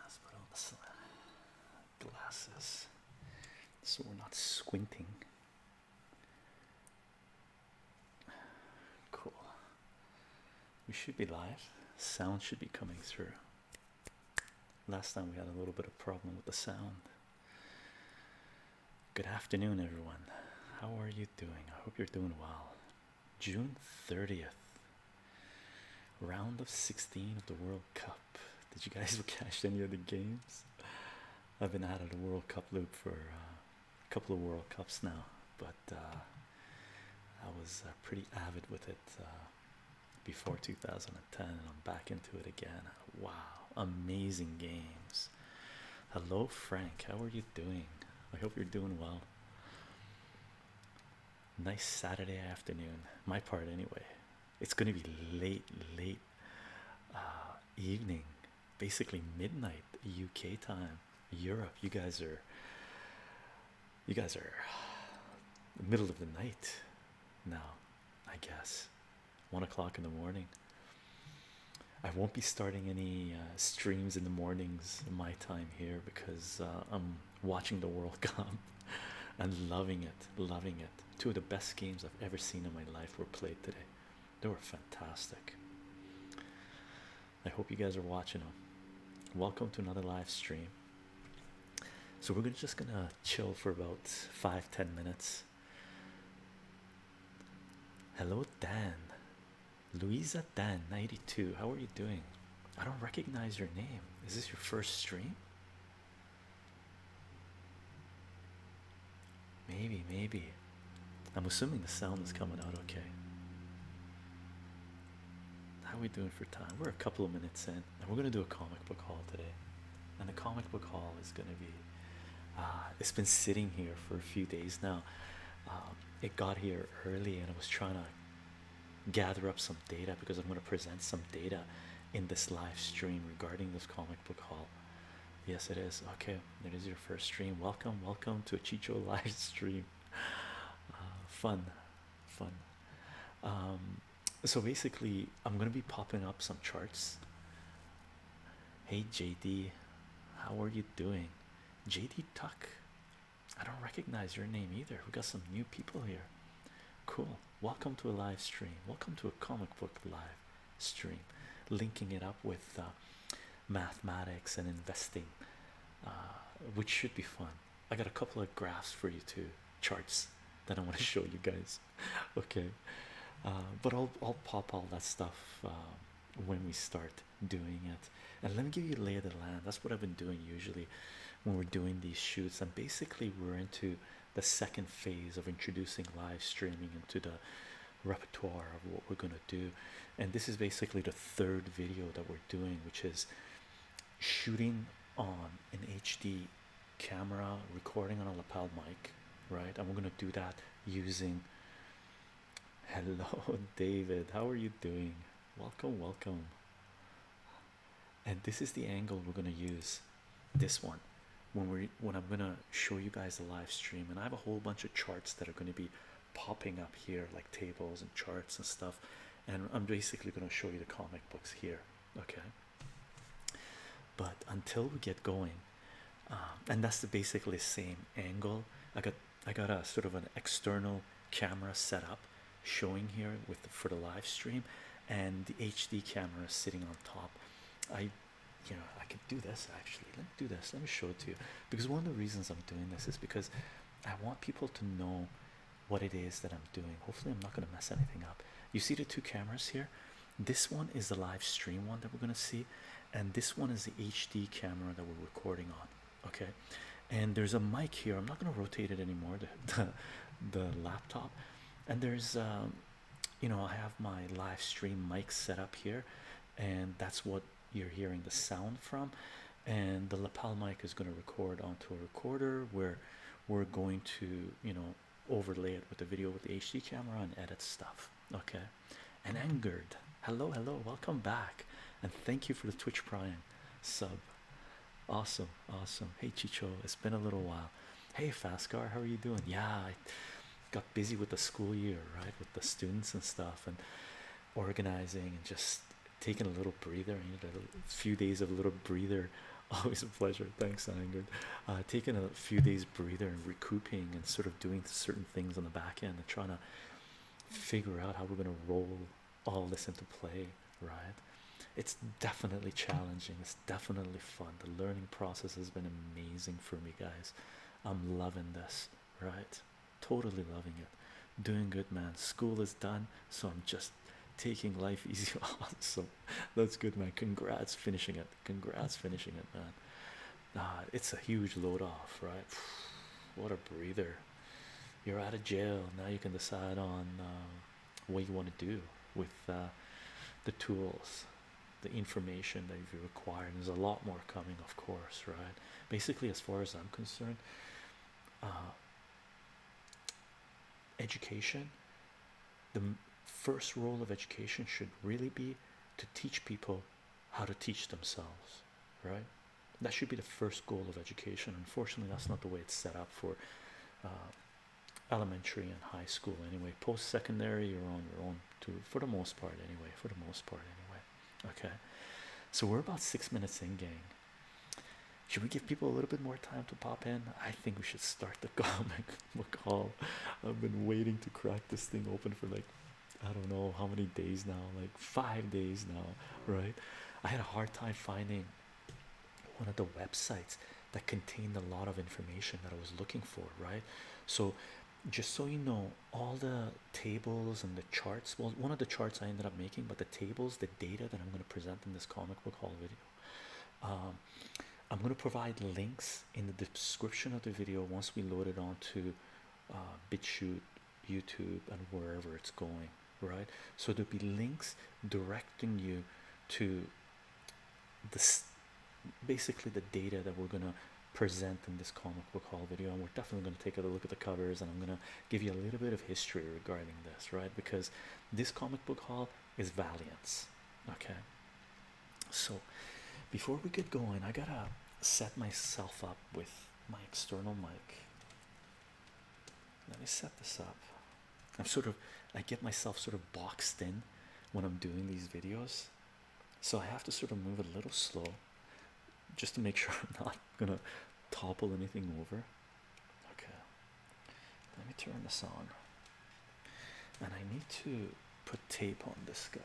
Let's put on the glasses so we're not squinting. Cool. We should be live. Sound should be coming through. Last time we had a little bit of problem with the sound. Good afternoon, everyone. How are you doing? I hope you're doing well. June 30th, Round of 16 of the World Cup. Did you guys catch any of the games? I've been out of the World Cup loop for uh, a couple of World Cups now, but uh, I was uh, pretty avid with it before 2010, and I'm back into it again. Wow, amazing games! Hello, Frank. How are you doing? I hope you're doing well. Nice Saturday afternoon, my part anyway. It's going to be late, late uh, evening, basically midnight UK time. Europe, you guys are, you guys are, middle of the night, now, I guess, one o'clock in the morning. I won't be starting any uh, streams in the mornings in my time here because uh, I'm watching the World Cup and loving it, loving it. Two of the best games I've ever seen in my life were played today. They were fantastic. I hope you guys are watching them. Welcome to another live stream. So we're gonna, just gonna chill for about five, ten minutes. Hello, Dan. Louisa Dan, 92. How are you doing? I don't recognize your name. Is this your first stream? Maybe, maybe. I'm assuming the sound is coming out okay. How are we doing for time? We're a couple of minutes in, and we're gonna do a comic book haul today. And the comic book haul is gonna be. Uh, it's been sitting here for a few days now. Um, it got here early, and I was trying to gather up some data because I'm going to present some data in this live stream regarding this comic book haul. Yes, it is. Okay, That is your first stream. Welcome, welcome to a Chicho live stream. Uh, fun, fun. Um, so basically, I'm going to be popping up some charts. Hey, JD, how are you doing? JD Tuck, I don't recognize your name either. We got some new people here. Cool. Welcome to a live stream. Welcome to a comic book live stream. Linking it up with uh, mathematics and investing, uh, which should be fun. I got a couple of graphs for you too, charts that I want to show you guys. okay, uh, but I'll I'll pop all that stuff when we start doing it. And let me give you a lay of the land. That's what I've been doing usually when we're doing these shoots and basically we're into the second phase of introducing live streaming into the repertoire of what we're going to do and this is basically the third video that we're doing which is shooting on an hd camera recording on a lapel mic right and we're going to do that using hello david how are you doing welcome welcome and this is the angle we're going to use this one when we when i'm going to show you guys the live stream and i have a whole bunch of charts that are going to be popping up here like tables and charts and stuff and i'm basically going to show you the comic books here okay but until we get going um, and that's the basically same angle i got i got a sort of an external camera set up showing here with for the live stream and the HD camera sitting on top. I you know I could do this actually. Let me do this. Let me show it to you because one of the reasons I'm doing this is because I want people to know what it is that I'm doing. Hopefully I'm not gonna mess anything up. You see the two cameras here. This one is the live stream one that we're gonna see, and this one is the HD camera that we're recording on. Okay, and there's a mic here. I'm not gonna rotate it anymore. the laptop and there's um, you know I have my live stream mic set up here and that's what you're hearing the sound from and the lapel mic is going to record onto a recorder where we're going to you know overlay it with the video with the HD camera and edit stuff okay and angered hello hello welcome back and thank you for the twitch prime sub Awesome, awesome. Hey Chicho, it's been a little while. Hey Fascar, how are you doing? Yeah, I got busy with the school year, right? With the students and stuff and organizing and just taking a little breather, a few days of a little breather. Always a pleasure. Thanks, Angard. Uh taking a few days breather and recouping and sort of doing certain things on the back end and trying to figure out how we're gonna roll all this into play, right? It's definitely challenging, it's definitely fun. The learning process has been amazing for me, guys. I'm loving this, right? Totally loving it. Doing good, man. School is done, so I'm just taking life easy. So That's good, man. Congrats finishing it. Congrats finishing it, man. Uh, it's a huge load off, right? What a breather. You're out of jail. Now you can decide on um, what you want to do with uh, the tools, the information that you require. And there's a lot more coming, of course, right? Basically, as far as I'm concerned, uh, education, the first role of education should really be to teach people how to teach themselves, right? That should be the first goal of education. Unfortunately, that's not the way it's set up for uh, elementary and high school anyway post secondary you're on your own too for the most part anyway for the most part anyway okay so we're about six minutes in gang should we give people a little bit more time to pop in i think we should start the call. i've been waiting to crack this thing open for like i don't know how many days now like five days now right i had a hard time finding one of the websites that contained a lot of information that I was looking for, right? So, just so you know, all the tables and the charts well, one of the charts I ended up making, but the tables, the data that I'm going to present in this comic book hall video. Um, I'm going to provide links in the description of the video once we load it onto uh, BitChute, YouTube, and wherever it's going right? So there'll be links directing you to this basically the data that we're gonna present in this comic book haul video, and we're definitely gonna take a look at the covers, and I'm gonna give you a little bit of history regarding this, right? Because this comic book haul is valiant, okay? So before we get going, I gotta set myself up with my external mic let me set this up. I'm sort of, I get myself sort of boxed in when I'm doing these videos, so I have to sort of move a little slow just to make sure I'm not gonna topple anything over. Okay, let me turn this on, and I need to put tape on this guy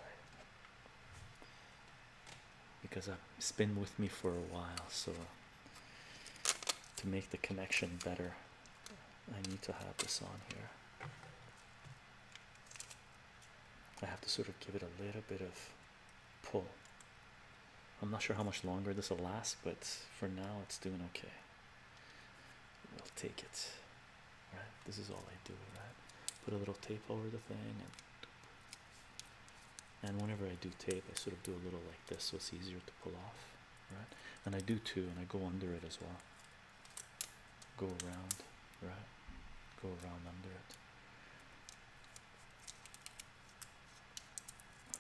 because I've been with me for a while, so to make the connection better. I need to have this on here. I have to sort of give it a little bit of pull. I'm not sure how much longer this will last, but for now it's doing okay. We'll take it. Right? This is all I do, right? Put a little tape over the thing and and whenever I do tape I sort of do a little like this so it's easier to pull off right? And I do too, and I go under it as well. Go around, right? Go around under it.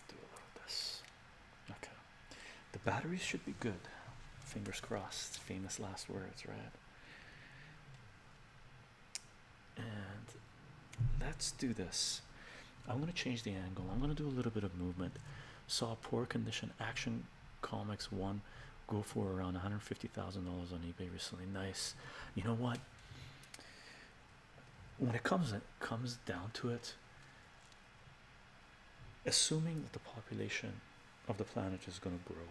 do a little of this. Okay. The batteries should be good. Fingers crossed. Famous last words, right? And let's do this. I'm going to change the angle. I'm going to do a little bit of movement. Saw poor condition action comics one go for around $150,000 on eBay recently. Nice. You know what? When it comes it comes down to it, assuming that the population of the planet is going to grow,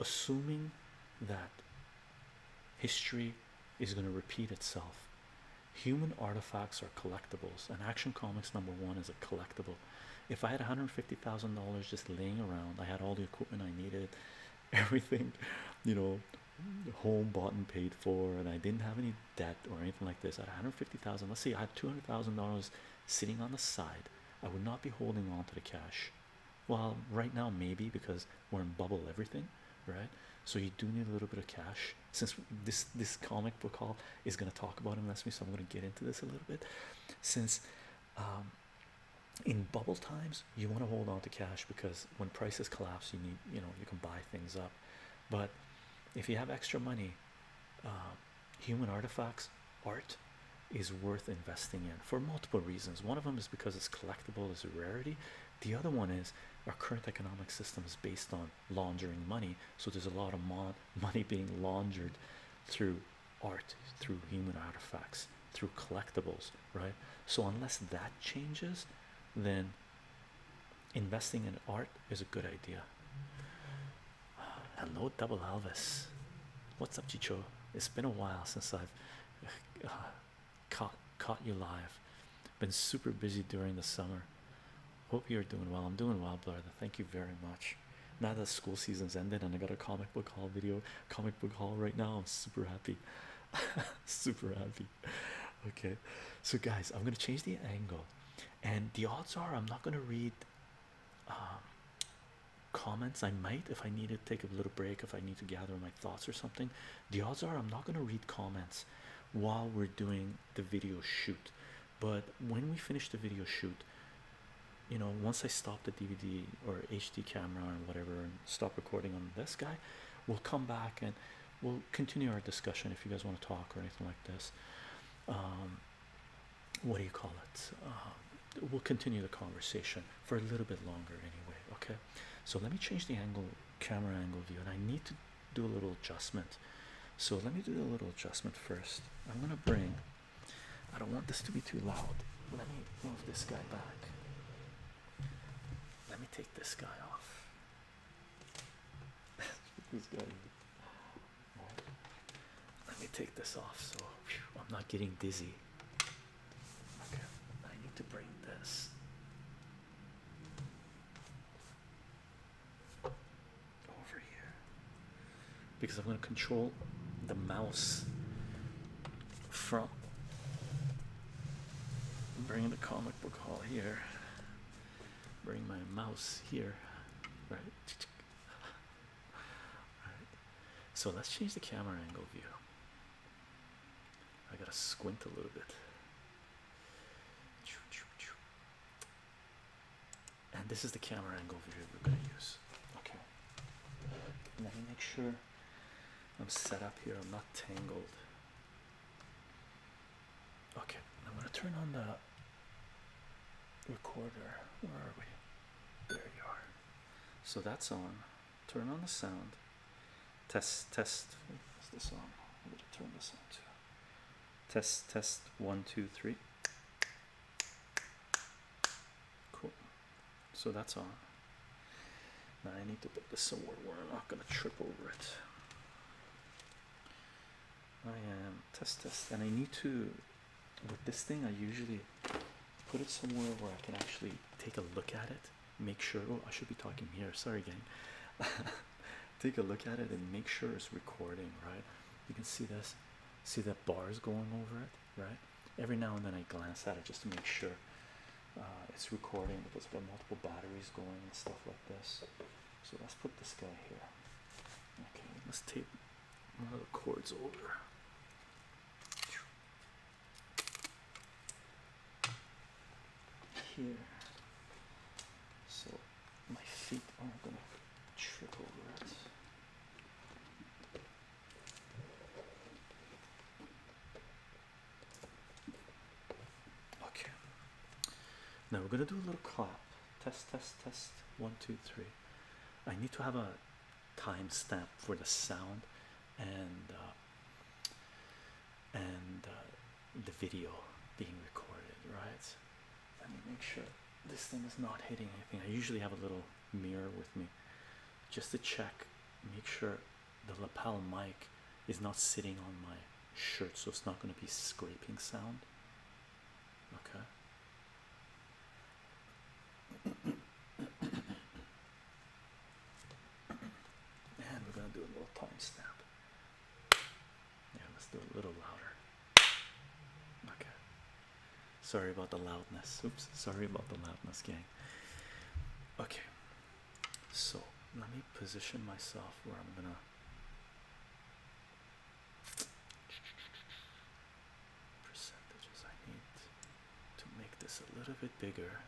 assuming that history is going to repeat itself Human artifacts are collectibles, and Action Comics number one is a collectible. If I had $150,000 just laying around, I had all the equipment I needed, everything, you know, home bought and paid for, and I didn't have any debt or anything like this. At $150,000, let's see, I had $200,000 sitting on the side. I would not be holding on to the cash. Well, right now, maybe because we're in bubble everything, right? So you do need a little bit of cash since this this comic book hall is going to talk about him that's me so i'm going to get into this a little bit since um, in bubble times you want to hold on to cash because when prices collapse you need you know you can buy things up but if you have extra money um, human artifacts art is worth investing in for multiple reasons one of them is because it's collectible it's a rarity the other one is our current economic system is based on on laundering money. So there's a lot of mon money being laundered through art, through human artifacts, through collectibles, right? So unless that changes, then investing in art is a good idea. Hello, Double Elvis. What's up, Chicho? It's been a while since I've uh, caught caught you live. Been super busy during the summer. Hope you're doing well. I'm doing well, brother. Thank you very much. Now that school season's ended and I got a comic book haul video, comic book haul right now, I'm super happy. super happy. Okay, so guys, I'm gonna change the angle, and the odds are I'm not gonna read um, comments. I might if I need to take a little break, if I need to gather my thoughts or something. The odds are I'm not gonna read comments while we're doing the video shoot but when we finish the video shoot you know once i stop the dvd or hd camera or whatever and stop recording on this guy we'll come back and we'll continue our discussion if you guys want to talk or anything like this um what do you call it um, we'll continue the conversation for a little bit longer anyway okay so let me change the angle camera angle view and i need to do a little adjustment. So let me do a little adjustment first. I'm gonna bring. I don't want this to be too loud. Let me move this guy back. Let me take this guy off. this guy. Let me take this off so I'm not getting dizzy. Okay, I need to bring this over here because I'm going to control the mouse from Bring the comic book hall here. Bring my mouse here, right? right. So let's change the camera angle view. I gotta squint a little bit and this is the camera angle view we're gonna use. Okay. Let me make sure I'm set up here. I'm not tangled. Okay, I'm gonna turn on the recorder. Where are we? There you are. So that's on. Turn on the sound. Test test. What's this on? I'm gonna turn this on too. Test test one two three. Cool. So that's all. Now I need to put this somewhere where I'm not going to trip over it. I am test test, and I need to. With this thing, I usually put it somewhere where I can actually take a look at it, make sure. Oh, I should be talking here. Sorry, gang. take a look at it and make sure it's recording, right? You can see this. See that bars going over it, right? Every now and then I glance at it just to make sure uh, it's recording because we've got multiple batteries going and stuff like this. So let's put this guy here. Okay, let's tape one of the cords over. Here. So my feet aren't gonna trip over it. Okay. Now we're gonna do a little clap. Test, test, test. One, two, three. I need to have a timestamp for the sound and uh, and uh, the video being recorded, right? Let me make sure this thing is not hitting anything. I usually have a little mirror with me just to check, make sure the lapel mic is not sitting on my shirt, so it's not going to be scraping sound. Okay. and we're going to do a little timestamp. Yeah, let's do a little louder. Okay. Sorry about the loudness. Oops, sorry about the loudness, gang. Okay, so let me position myself where I'm gonna. Percentages I need to make this a little bit bigger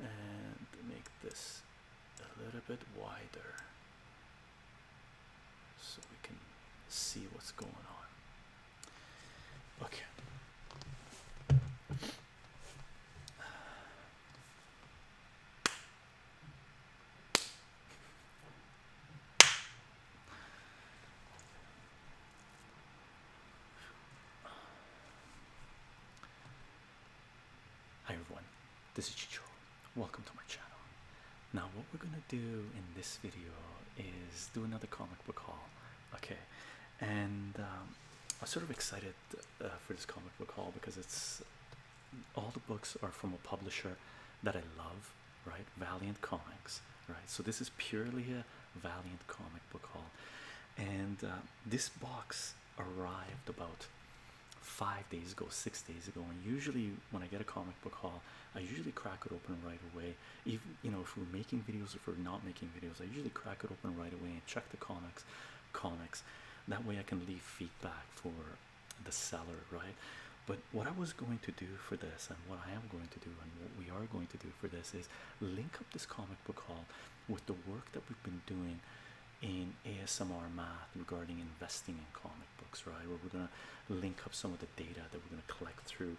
and make this a little bit wider so we can see what's going on. Okay. Hi everyone, this is Chichiro welcome to my channel. Now, what we're gonna do in this video is do another comic book haul, okay? And um, I'm sort of excited uh, for this comic book haul because it's all the books are from a publisher that I love, right? Valiant Comics, right? So, this is purely a Valiant comic book haul, and uh, this box arrived about five days ago, six days ago. And usually, when I get a comic book haul, I usually crack it open right away. If you know if we're making videos, if we're not making videos, I usually crack it open right away and check the comics, comics. That way I can leave feedback for the seller, right? But what I was going to do for this, and what I am going to do, and what we are going to do for this, is link up this comic book haul with the work that we've been doing in ASMR math regarding investing in comics books, right? Where we're gonna link up some of the data that we're gonna collect through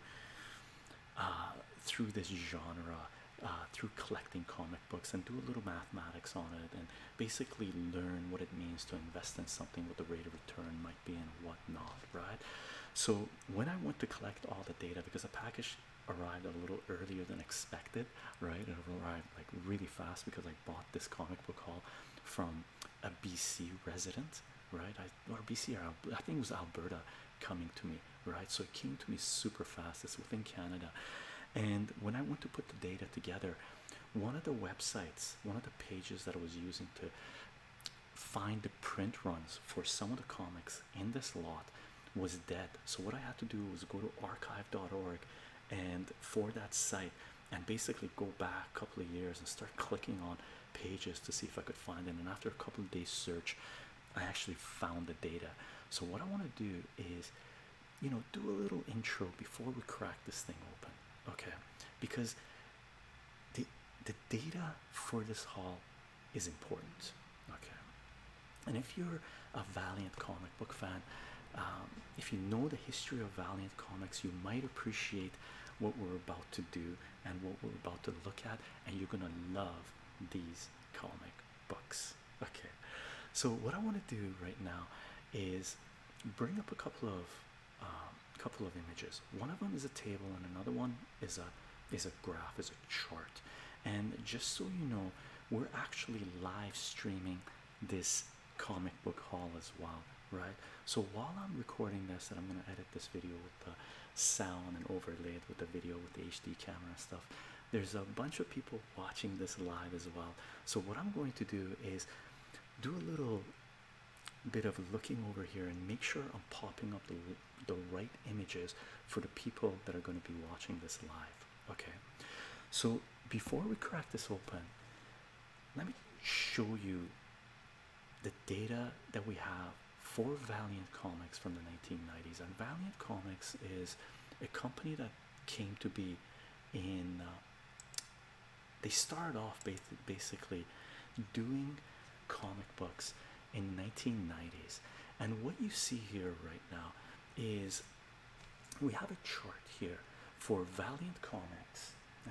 uh, through this genre, uh, through collecting comic books, and do a little mathematics on it, and basically learn what it means to invest in something, what the rate of return might be, and whatnot, right? So when I went to collect all the data, because the package arrived a little earlier than expected, right? It arrived like really fast because I bought this comic book haul from a BC resident, right? or BC, I think it was Alberta coming to me, right? So it came to me super fast. It's within Canada. And when I went to put the data together, one of the websites, one of the pages that I was using to find the print runs for some of the comics in this lot was dead. So what I had to do was go to archive.org and for that site and basically go back a couple of years and start clicking on pages to see if I could find it. And after a couple of days search, I actually found the data. So what I want to do is, you know, do a little intro before we crack this thing open, okay? Because the the data for this haul is important, okay? And if you're a Valiant comic book fan, um, if you know the history of Valiant comics, you might appreciate what we're about to do and what we're about to look at, and you're gonna love these comic books. Okay, so what I want to do right now is bring up a couple of um, couple of images. One of them is a table, and another one is a is a graph, is a chart. And just so you know, we're actually live streaming this comic book haul as well, right? So while I'm recording this, and I'm gonna edit this video with the sound and overlay with the video with the HD camera stuff, there's a bunch of people watching this live as well. So what I'm going to do is do a little bit of looking over here and make sure I'm popping up the, the right images for the people that are going to be watching this live. Okay, so before we crack this open, let me show you the data that we have for Valiant Comics from the 1990s. And Valiant Comics is a company that came to be in. Uh, they started off basically doing comic books in 1990s and what you see here right now is we have a chart here for Valiant Comics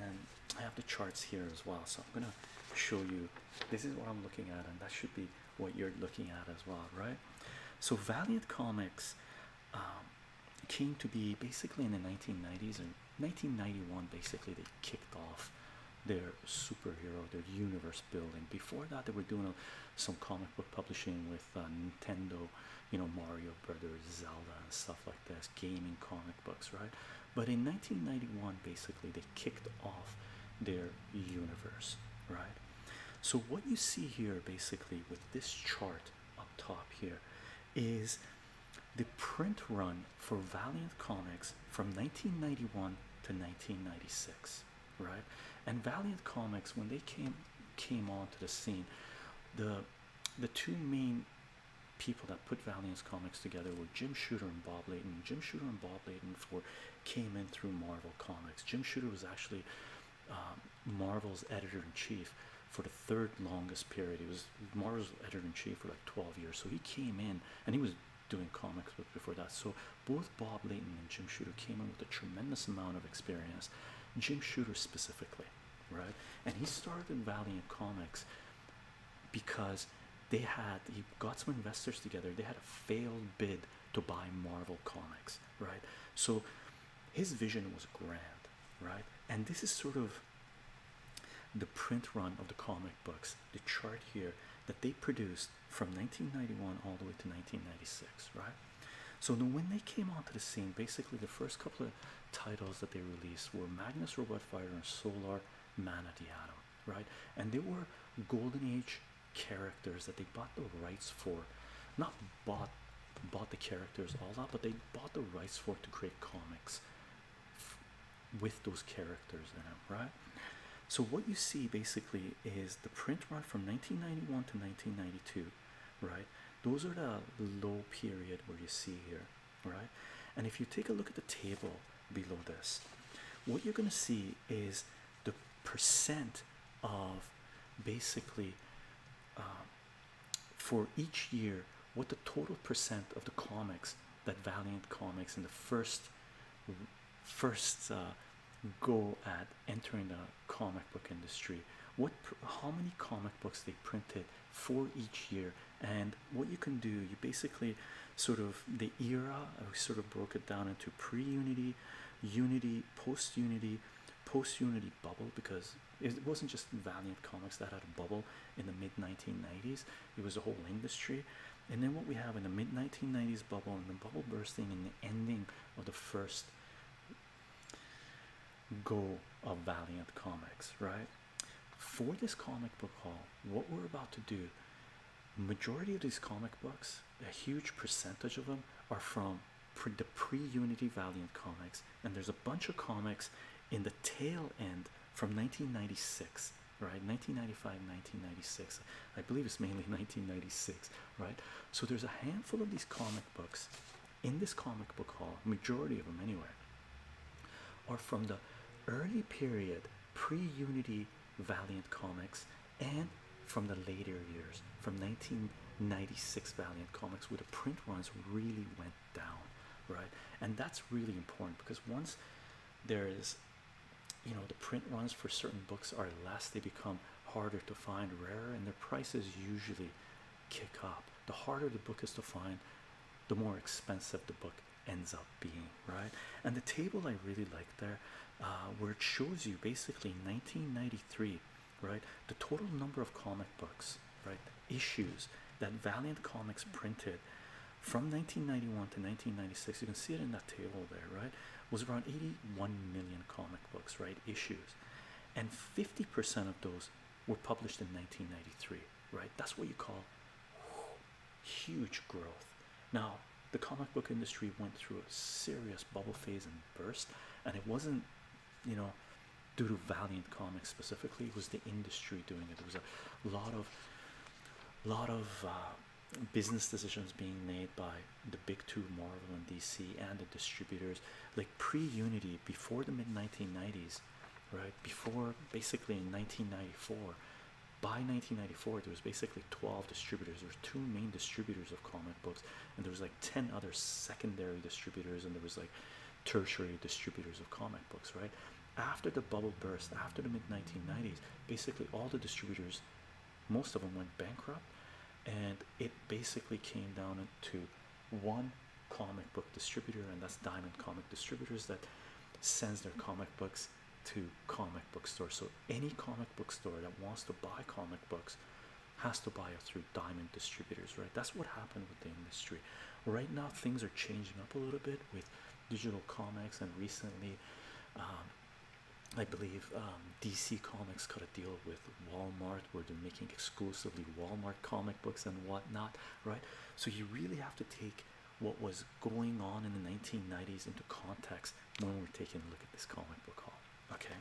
and i have the charts here as well so i'm gonna show you this is what i'm looking at and that should be what you're looking at as well right so valiant comics um, came to be basically in the 1990s and 1991 basically they kicked off their superhero their universe building before that they were doing uh, some comic book publishing with uh, nintendo you know mario brothers zelda and stuff like this gaming comic books right but in 1991, basically, they kicked off their universe, right? So, what you see here basically with this chart up top here is the print run for Valiant Comics from 1991 to 1996, right? And Valiant Comics, when they came came onto the scene, the the two main people that put Valiant comics together were Jim Shooter and Bob Layton. Jim Shooter and Bob Layton for came in through Marvel comics. Jim Shooter was actually um, Marvel's editor in chief for the third longest period. He was Marvel's editor in chief for like 12 years. So he came in and he was doing comics before that. So both Bob Layton and Jim Shooter came in with a tremendous amount of experience. Jim Shooter specifically, right? And he started Valiant Comics because they had he got some investors together they had a failed bid to buy marvel comics right so his vision was grand right and this is sort of the print run of the comic books the chart here that they produced from 1991 all the way to 1996 right so when they came onto the scene basically the first couple of titles that they released were magnus robot fighter and solar Man of the Atom, right? And they were golden age characters that they bought the rights for, not bought bought the characters all that, but they bought the rights for to create comics with those characters in them, right? So what you see basically is the print run from 1991 to 1992, right? Those are the low period where you see here right? And if you take a look at the table below this, what you're going to see is the percent of basically um, for each year what the total percent of the comics that Valiant Comics in the first first uh, go at entering the comic book industry what how many comic books they printed for each year and what you can do you basically sort of the era i uh, sort of broke it down into pre-unity unity post-unity post-unity bubble because it wasn't just valiant comics that had a bubble in the mid 1990s it was the whole industry and then what we have in the mid 1990s bubble and the bubble bursting and the ending of the first go of valiant comics right for this comic book haul, what we're about to do, majority of these comic books, a huge percentage of them, are from the pre-Unity Valiant comics, and there's a bunch of comics in the tail end from 1996, right? 1995, 1996. I believe it's mainly 1996, right? So there's a handful of these comic books in this comic book haul, majority of them anyway, or from the early period pre-unity valiant comics and from the later years from 1996 valiant comics where the print runs really went down right and that's really important because once there is you know the print runs for certain books are less they become harder to find rarer and the prices usually kick up the harder the book is to find the more expensive the book ends up being, right? And the table I really like there, uh, where it shows you basically 1993, right? The total number of comic books, right? Issues that Valiant Comics hmm. printed from 1991 to 1996. You can see it in that table there, right? Was around 81 million comic books, right? Issues, and 50% of those were published in 1993, right? That's what you call huge growth. Now, the comic book industry went through a serious bubble phase and burst, and it wasn't, you know, due to Valiant Comics specifically. It was the industry doing it. There was a lot of, lot of uh, business decisions being made by the big two, Marvel and DC, and the distributors. Like pre-Unity, before the mid 1990s, right? Before basically in 1994, by 1994 there was basically 12 distributors there were two main distributors of comic books and there was like 10 other secondary distributors and there was like tertiary distributors of comic books right after the bubble burst after the mid 1990s basically all the distributors most of them went bankrupt and it basically came down to one comic book distributor and that's diamond comic distributors that sends their comic books to comic book stores. So any comic book store that wants to buy comic books has to buy it through diamond distributors, right? That's what happened with the industry. Right now, things are changing up a little bit with digital comics, and recently, um, I believe um, DC Comics got a deal with Walmart where they're making exclusively Walmart comic books and whatnot, right? So you really have to take what was going on in the 1990s into context when we're taking a look at this comic book haul. Okay,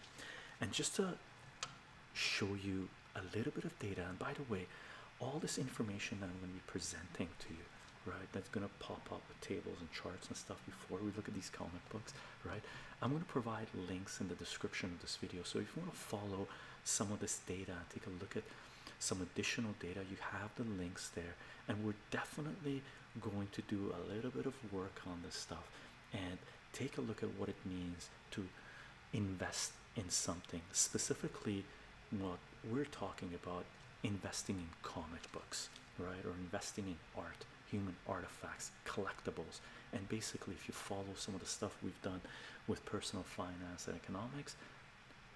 and just to show you a little bit of data, and by the way, all this information that I'm going to be presenting to you, right, that's going to pop up with tables and charts and stuff before we look at these comic books, right? I'm going to provide links in the description of this video. So if you want to follow some of this data and take a look at some additional data. You have the links there, and we're definitely going to do a little bit of work on this stuff and take a look at what it means to invest in something specifically what we're talking about investing in comic books right or investing in art human artifacts collectibles and basically if you follow some of the stuff we've done with personal finance and economics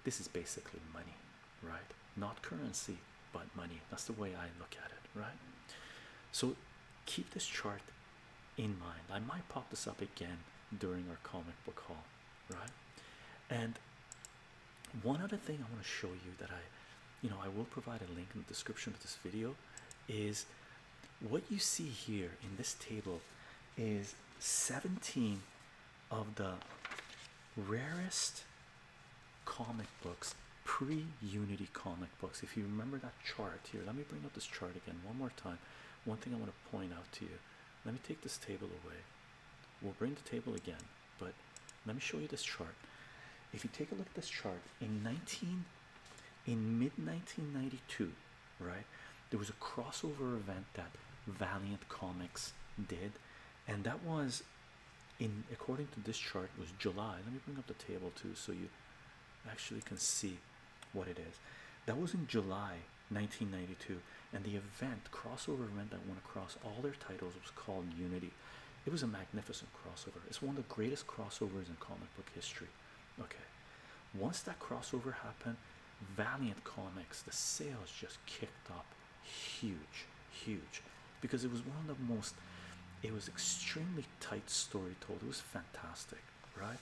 this is basically money right? Not currency, but money. That's the way I look at it, right? So keep this chart in mind. I might pop this up again during our comic book haul, right? And one other thing I want to show you that I, you know, I will provide a link in the description of this video is what you see here in this table is 17 of the rarest comic books, pre Unity comic books. If you remember that chart here, let me bring up this chart again one more time. One thing I want to point out to you let me take this table away. We'll bring the table again, but let me show you this chart. If you take a look at this chart in 19 in mid 1992, right? There was a crossover event that Valiant Comics did and that was in according to this chart was July. Let me bring up the table too so you actually can see what it is. That was in July 1992, and the event crossover event that went across all their titles was called Unity. It was a magnificent crossover. It's one of the greatest crossovers in comic book history. Okay. Once that crossover happened, Valiant Comics, the sales just kicked up huge, huge, because it was one of the most. It was extremely tight story told. It was fantastic, right?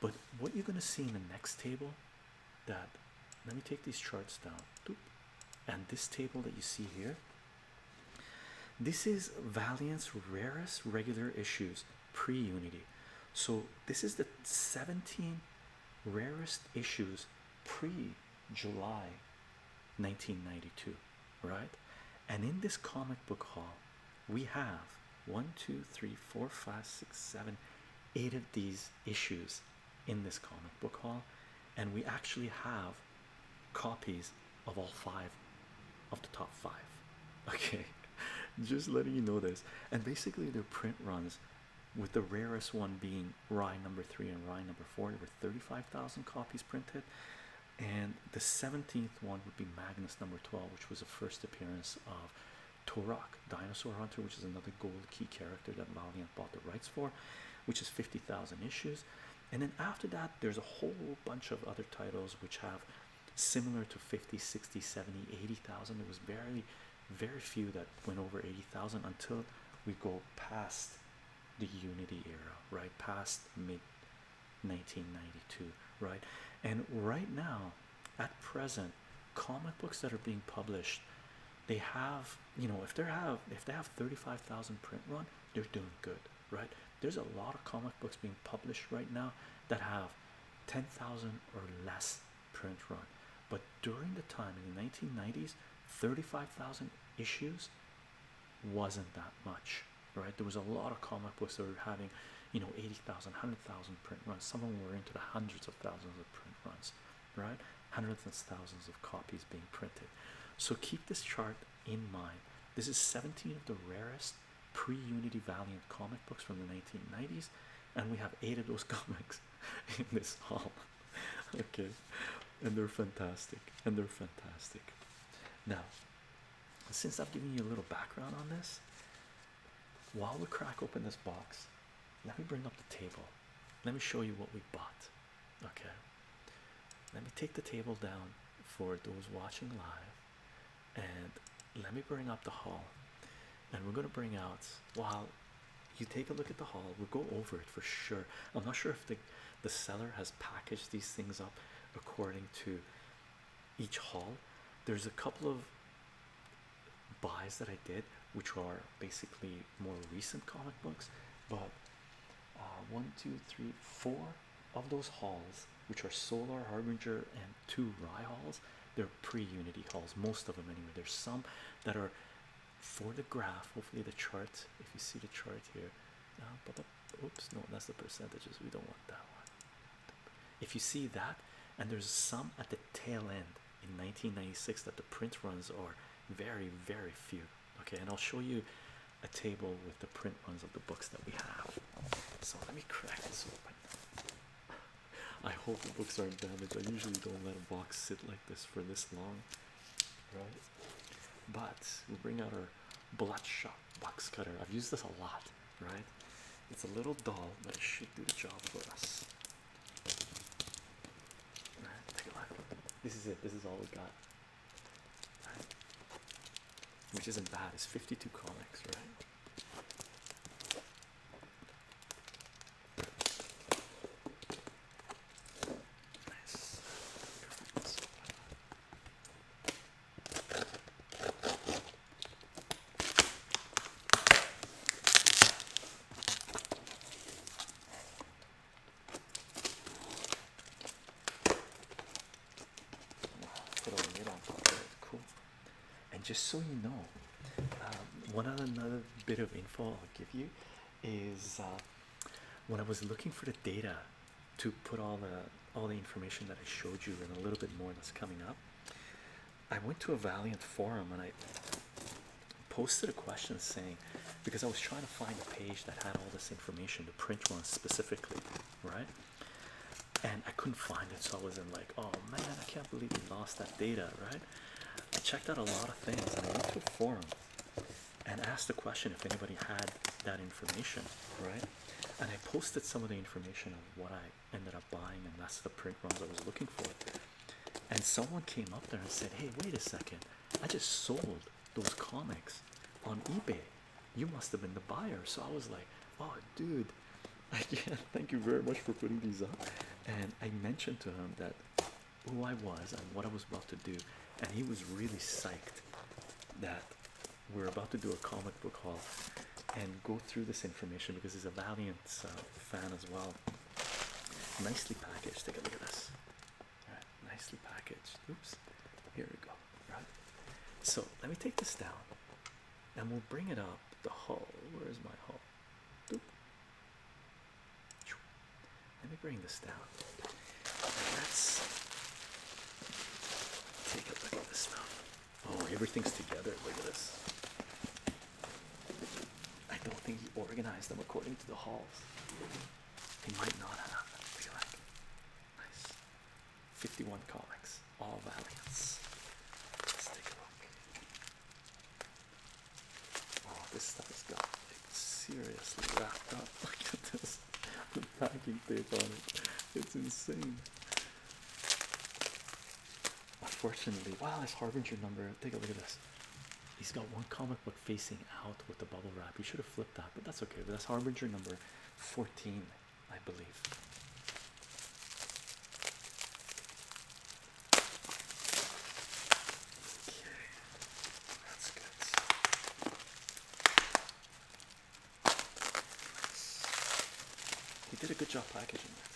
But what you're gonna see in the next table, that let me take these charts down. And this table that you see here, this is Valiant's rarest regular issues pre-unity. So this is the 17 rarest issues pre July 1992, right? And in this comic book haul, we have one, two, three, four, five, six, seven, eight of these issues in this comic book haul, and we actually have copies of all five of the top five. Okay, just letting you know this. And basically, the print runs with the rarest one being rye number three and rye number four. There were 35,000 copies printed, and the 17th one would be Magnus number 12, which was the first appearance of Torak, Dinosaur Hunter, which is another gold key character that Valiant bought the rights for, which is 50,000 issues. And then after that, there's a whole bunch of other titles which have similar to 50, 60, 70, 80,000. It was barely very few that went over 80,000 until we go past the unity era right past mid 1992 right and right now at present comic books that are being published they have you know if they have if they have 35,000 print run they're doing good right there's a lot of comic books being published right now that have 10,000 or less print run, but during the time in the 1990s, 35,000 issues wasn't that much, right? There was a lot of comic books that were having, you know, 80,000, 100,000 print runs. Some of them were into the hundreds of thousands of print runs, right? Hundreds of thousands of copies being printed. So keep this chart in mind. This is 17 of the rarest pre-Unity Valiant comic books from the 1990s, and we have eight of those comics in this hall. okay, and they're fantastic, and they're fantastic. Now, since I've given you a little background on this, while we crack open this box, let me bring up the table. Let me show you what we bought. Okay, let me take the table down for those watching live, and let me bring up the haul. And we're gonna bring out. Wow, you take a look at the haul. We'll go over it for sure. I'm not sure if the the seller has packaged these things up according to each haul. There's a couple of buys that I did, which are basically more recent comic books, but uh, one, two, three, four of those hauls, which are Solar Harbinger and two Rye halls, they're pre-Unity halls. Most of them, anyway. There's some that are for the graph, hopefully the chart, if you see the chart here, uh, oops, no, that's the percentages. We don't want that one. If you see that, and there's some at the tail end in 1996 that the print runs are very, very few. Okay, and I'll show you a table with the print runs of the books that we have. So let me crack this open. I hope the books aren't damaged. I usually don't let a box sit like this for this long right? But we bring out our bloodshot box cutter. I've used this a lot, right? It's a little dull, but it should do the job for us. Right, take a look. This is it. This is all we got. Right? Which isn't bad. It's 52 comics, right? And just so you know, um, one other bit of info I'll give you is uh, when I was looking for the data to put all the all the information that I showed you and a little bit more that's coming up. I went to a Valiant forum and I posted a question saying because I was trying to find a page that had all this information, the print one specifically, right? And I couldn't find it, so I was in like, oh man, I can't believe we lost that data, right? I checked out a lot of things and I went to a forum and asked the question if anybody had that information, right? And I posted some of the information of what I ended up buying, and that's the print runs I was looking for. And someone came up there and said, Hey, wait a second, I just sold those comics on eBay. You must have been the buyer. So I was like, Oh, dude, I can thank you very much for putting these up. And I mentioned to him that who I was and what I was about to do, and he was really psyched that we're about to do a comic book haul and go through this information because he's a valiant uh, fan as well. Nicely packaged. Take a look at this. nicely packaged. Oops. Here we go. Right. So let me take this down, and we'll bring it up. The haul. Where's my haul? Let me bring this down. Let's take a look at this stuff. Oh, everything's together. Look at this. I don't think he organized them according to the halls. They might not have. Look at that. Nice. 51 comics. All variants. Let's take a look. Oh, this stuff is got like seriously wrapped up. Look at this, the packing tape on it. It's insane. Unfortunately, wow, this Harbinger number. Take a look at this. He's got one comic book facing out with the bubble wrap. You should have flipped that, but that's okay. that's Harbinger number 14, I believe. Okay. He did a good job packaging it.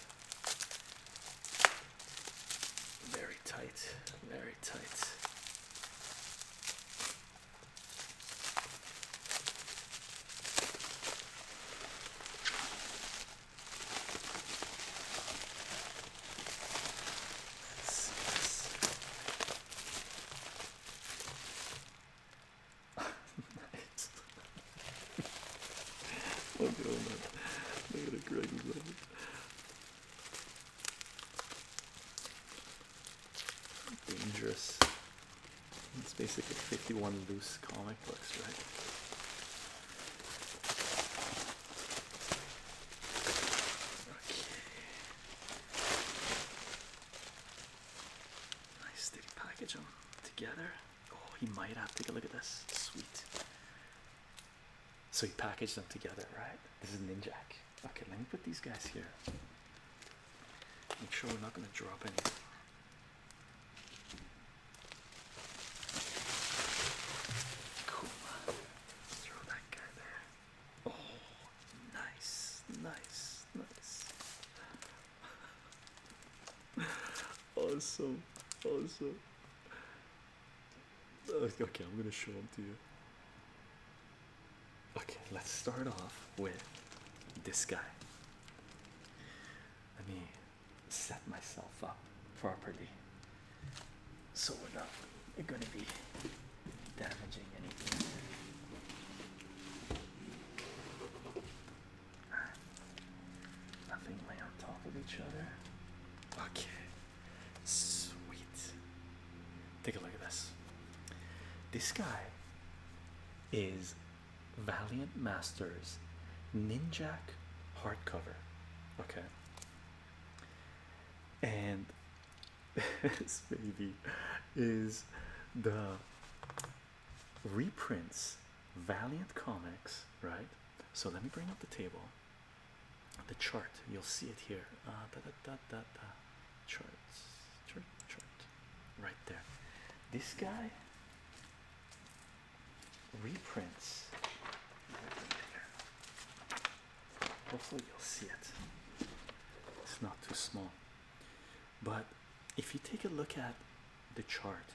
Very tight, very tight. Let's see this. nice. Look at all that. Look at the Greg's level. Dangerous. It's basically 51 loose comic books, right? Nice steady package them together. Oh, he might have. to Take a look at this. Sweet. So he packaged them together, right? This is Ninjak. Okay, let me put these guys here. Make sure we're not going to drop any. Cool. Throw that guy there. Oh, nice, nice, nice. awesome, awesome. Uh, okay, I'm gonna show them to you. Okay, let's start off with this guy. Let me set myself up properly so we're not going to be damaging anything. Nothing lay on top of each other. Okay, sweet. Take a look at this. This guy is Valiant Masters Ninjak hardcover. Okay. And this baby is the reprints Valiant Comics, right? So let me bring up the table, the chart. You'll see it here. Uh, Charts, chart, chart, right there. This guy reprints. Hopefully, you'll see it. It's not too small. But if you take a look at the chart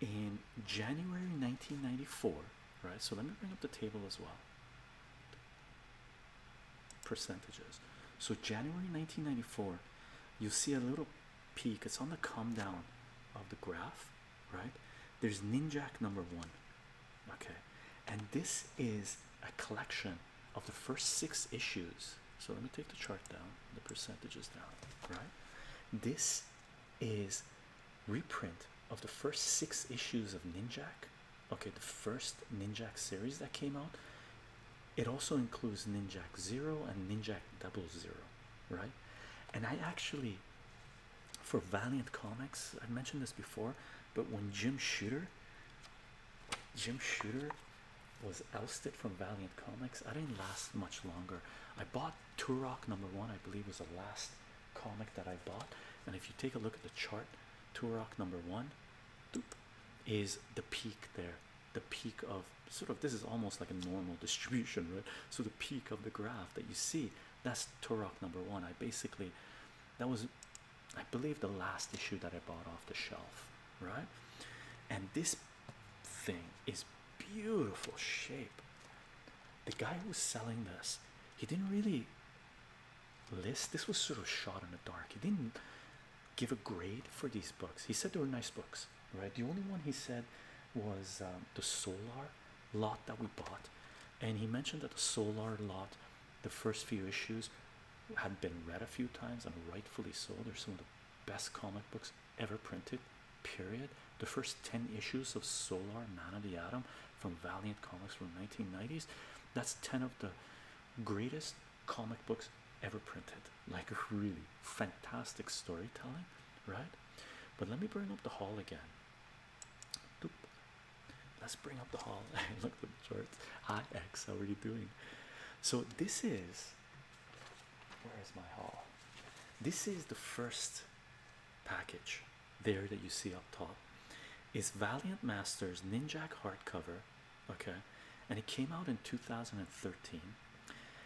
in January 1994, right? So let me bring up the table as well. Percentages. So, January 1994, you see a little peak, it's on the come down of the graph, right? There's Ninjak number one, okay and this is a collection of the first six issues so let me take the chart down the percentages down right this is reprint of the first six issues of ninjak okay the first ninjak series that came out it also includes ninjak zero and ninjak double zero right and i actually for valiant comics i've mentioned this before but when jim shooter Jim Shooter was ousted from Valiant Comics. I didn't last much longer. I bought Turok number one, I believe, was the last comic that I bought. And if you take a look at the chart, Turok number one is the peak there, the peak of sort of this is almost like a normal distribution, right? So the peak of the graph that you see that's Turok number one. I basically that was I believe the last issue that I bought off the shelf, right? And this thing is beautiful shape. The guy who was selling this, he didn't really list. This was sort of shot in the dark. He didn't give a grade for these books. He said they were nice books, right? The only one he said was um, the solar lot that we bought, and he mentioned that the solar lot the first few issues had been read a few times, and rightfully so. They're some of the best comic books ever printed. Period. The first 10 issues of Solar Man of the Atom from Valiant Comics from 1990s. That's 10 of the greatest comic books ever printed. Like really fantastic storytelling, right? But let me bring up the hall again. Let's bring up the hall and look at the charts. Ix, how are you doing? So this is where is my hall. This is the first package there that you see up top. Is Valiant Masters Ninjak hardcover. Okay, and it came out in 2013.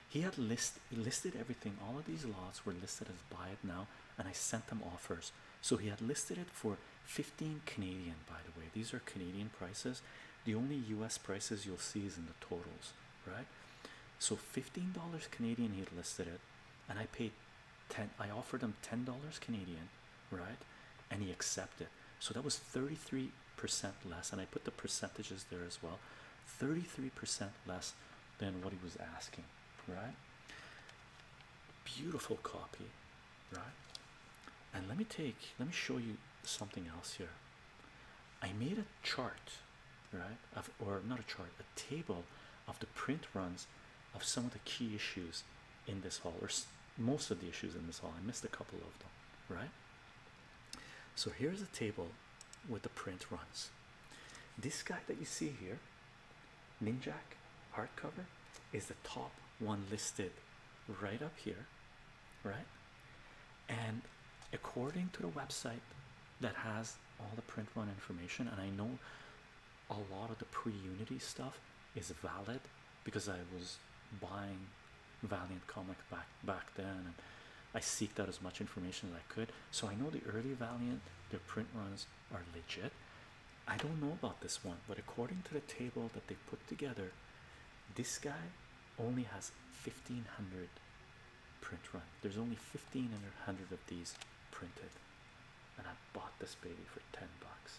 He had list listed everything. All of these lots were listed as buy it now, and I sent them offers. So he had listed it for 15 Canadian, by the way. These are Canadian prices. The only US prices you'll see is in the totals, right? So $15 Canadian he had listed it, and I paid 10 I offered him $10 Canadian, right? And he accepted. So that was 33% less, and I put the percentages there as well. 33% less than what he was asking, right? Beautiful copy, right? And let me take, let me show you something else here. I made a chart, right? Of, or not a chart, a table of the print runs of some of the key issues in this hall, or most of the issues in this hall. I missed a couple of them, right? So here's a table with the print runs. This guy that you see here Ninjak hardcover is the top one listed right up here, right? And according to the website that has all the print run information, and I know a lot of the pre Unity stuff is valid because I was buying Valiant comic back back then and I seeked out as much information as I could. So I know the early Valiant, their print runs are legit. I don't know about this one, but according to the table that they put together, this guy only has 1500 print run. There's only 1500 of these printed, and I bought this baby for 10 bucks,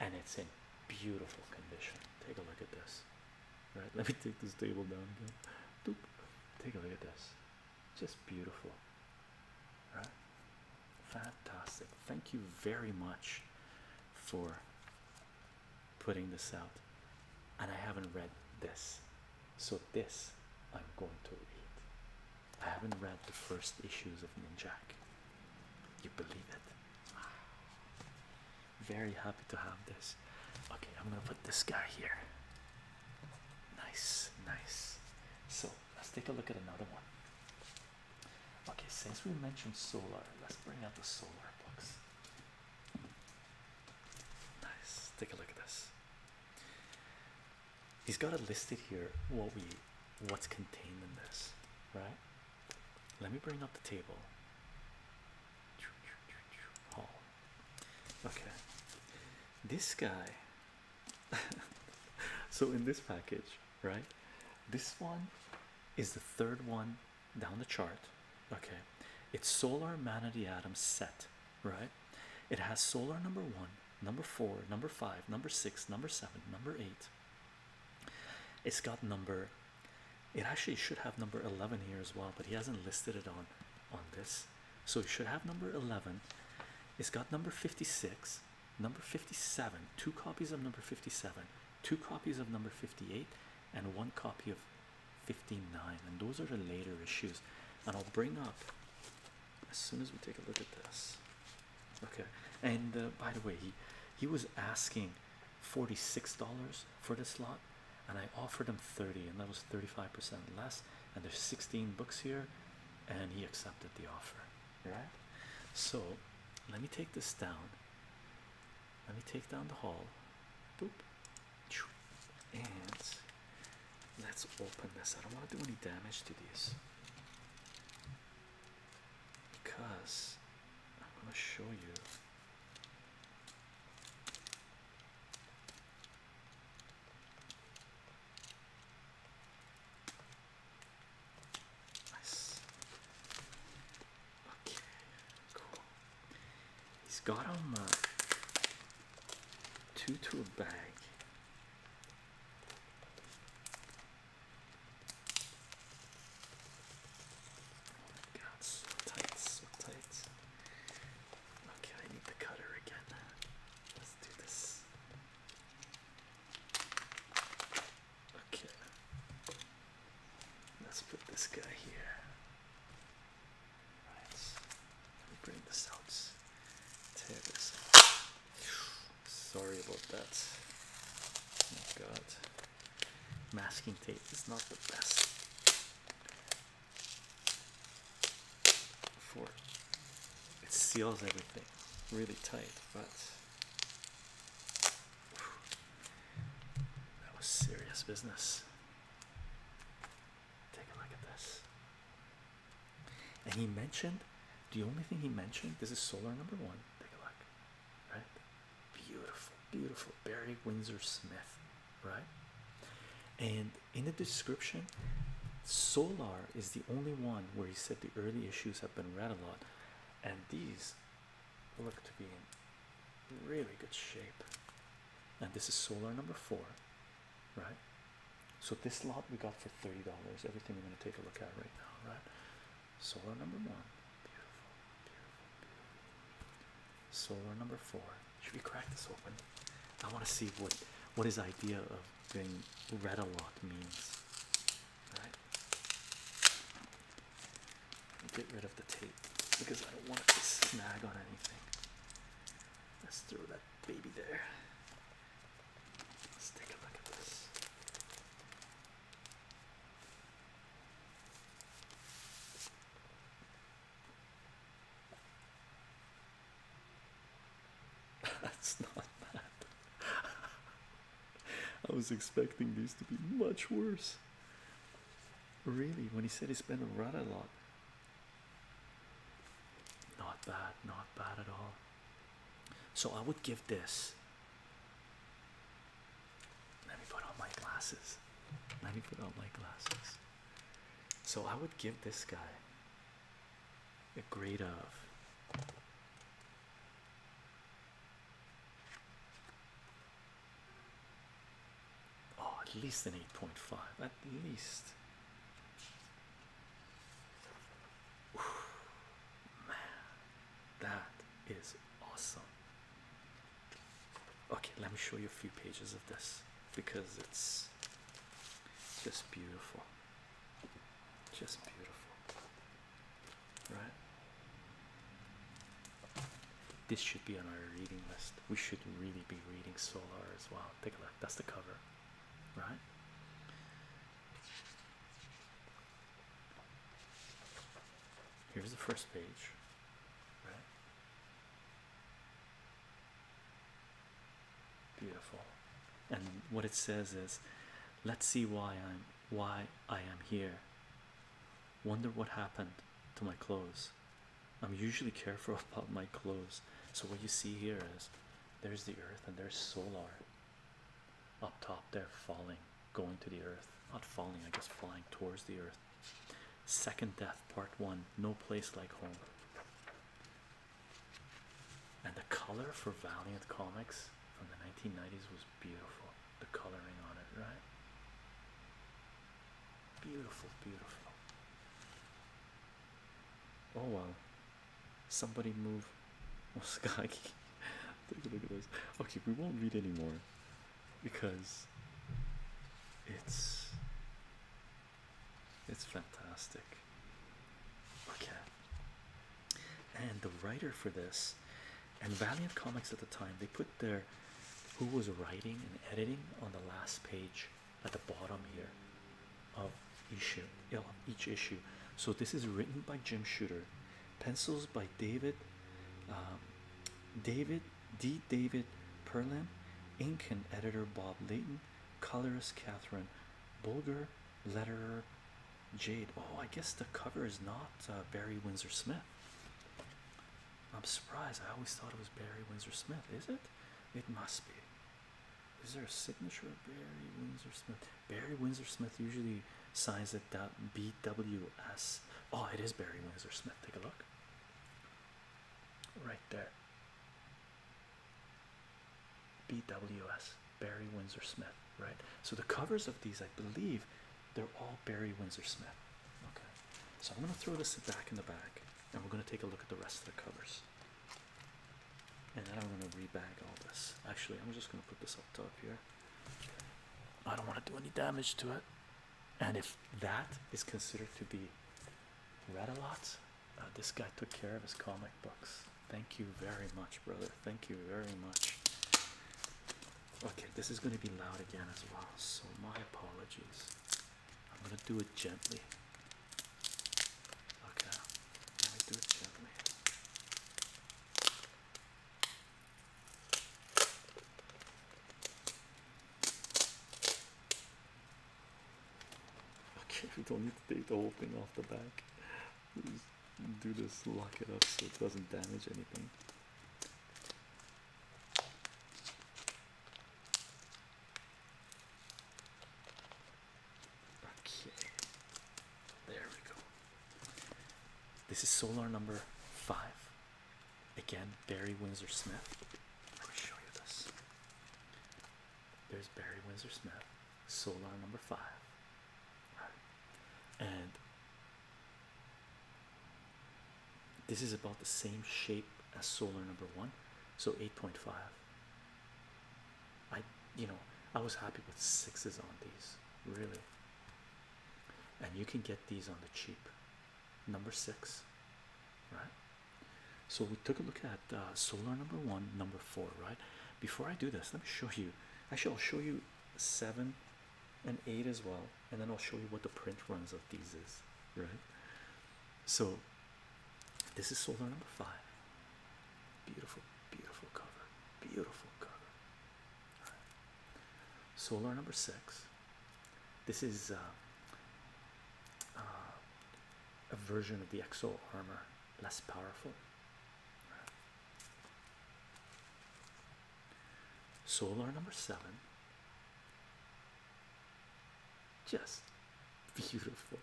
and it's in beautiful condition. Take a look at this, right? Let me take this table down again. Doop. Take a look at this, just beautiful, right? Fantastic. Thank you very much for putting this out. And I haven't read this. So, this I'm going to read. I haven't read the first issues of Ninjak. You believe it? Very happy to have this. Okay, I'm gonna put this guy here. Nice, nice. So, let's take a look at another one. Okay, since we mentioned solar, let's bring out the solar books. Nice, take a look at this. He's got it listed here what we what's contained in this, right? Let me bring up the table. Oh. Okay. This guy. so in this package, right? This one is the third one down the chart. Okay, it's solar man of the atom set, right? It has solar number one, number four, number five, number six, number seven, number eight. It's got number. It actually should have number eleven here as well, but he hasn't listed it on on this. So it should have number eleven. It's got number fifty six number 57, two copies of number 57, two copies of number 58, and one copy of 59. And those are the later issues. And I'll bring up as soon as we take a look at this. Okay, and uh, by the way, he, he was asking $46 for this lot, and I offered him 30 and that was 35% less. And there's 16 books here, and he accepted the offer right? So let me take this down. Let me take down the hall. Boop. And let's open this. I don't want to do any damage to these because I'm going to show you. He's got him uh, two to a bag. Oh my god, so tight, Okay, I need the cutter again. Let's do this. Okay. Let's put this guy here. Right. Let me bring this out. Sorry about that. Oh god. Masking tape is not the best for it seals everything really tight, but that was serious business. Take a look at this. And he mentioned the only thing he mentioned this is solar number one. Take a look, right? Beautiful, beautiful Barry Windsor Smith, right? And in the description, solar is the only one where he said the early issues have been read a lot, and these look to be in really good shape. And this is solar number four, right? So this lot we got for $30. Everything we're going to take a look at right now, right? Solar number one. Beautiful, beautiful, beautiful. Solar number four. Should we crack this open? I want to see what what his idea of being red a lot means. Get rid of the tape because I don't want it to snag on anything. Let's throw that baby there. Let's take a look at this. That's not bad. I was expecting this to be much worse. Really, when he said he spent a rat a lot. Not bad, not bad at all. So I would give this. Let me put on my glasses. Let me put on my glasses. So I would give this guy a grade of Oh, at least an 8.5, at least. man, that is awesome. Okay, let me show you a few pages of this because it's just beautiful. Just beautiful right? This should be on our reading list. We should really be reading Solar as well. Take a look, that's the cover, right? Here's the first page, right? Beautiful, and what it says is, Let's see why I'm why I am here. Wonder what happened to my clothes. I'm usually careful about my clothes. So, what you see here is there's the earth and there's solar up top there falling, going to the earth. Not falling, I guess flying towards the earth. Second Death, Part 1 No Place Like Home. And the color for Valiant Comics from the 1990s was beautiful the coloring on it, right? Beautiful, beautiful. Oh wow. Somebody move Moskagi. Take a look at this. Okay, we won't read anymore because it's it's fantastic. Okay and the writer for this and Valiant Comics at the time they put their who was writing and editing on the last page at the bottom here of each issue. So this is written by Jim Shooter, pencils by David, um, David D. David Perlam, ink and editor Bob Layton, colorist Catherine Bulger, letterer Jade. Oh, I guess the cover is not uh, Barry Windsor Smith. I'm surprised. I always thought it was Barry Windsor Smith. Is it? It must be. Is there a signature of Barry Windsor Smith? Barry Windsor Smith usually signs it that BWS. Oh, it is Barry Windsor Smith. Take a look. Right there. BWS. Barry Windsor Smith right? So the covers of these, I believe, they're all Barry Windsor Smith. Okay, so I'm gonna throw this back in the bag, and we're gonna take a look at the rest of the covers. And then I'm gonna rebag all this. Actually, I'm just gonna put this up top here. I don't want to do any damage to it. And if that is considered to be read a lot, uh, this guy took care of his comic books. Thank you very much, brother. Thank you very much. Okay, this is going to be loud again as well, so my apologies. I'm going to do it gently. Okay, let me do it gently. Okay, we don't need to take the whole thing off the back. Just do this, lock it up so it doesn't damage anything. Okay, there we go. This is solar number five. Again, Barry Windsor Smith. Let me show you this. There's Barry Windsor Smith, solar number five and this is about the same shape as solar number one, so 8.5. I, you know, I was happy with sixes on these, really. And you can get these on the cheap, number six, right? So we took a look at uh, solar number one, number four, right? Before I do this, let me show you. Actually, I'll show you seven an 8 as well and then I'll show you what the print runs of these is right so this is solar number 5 beautiful beautiful cover beautiful cover solar number 6 this is uh, uh, a version of the exo armor less powerful Solar number seven. Just beautiful.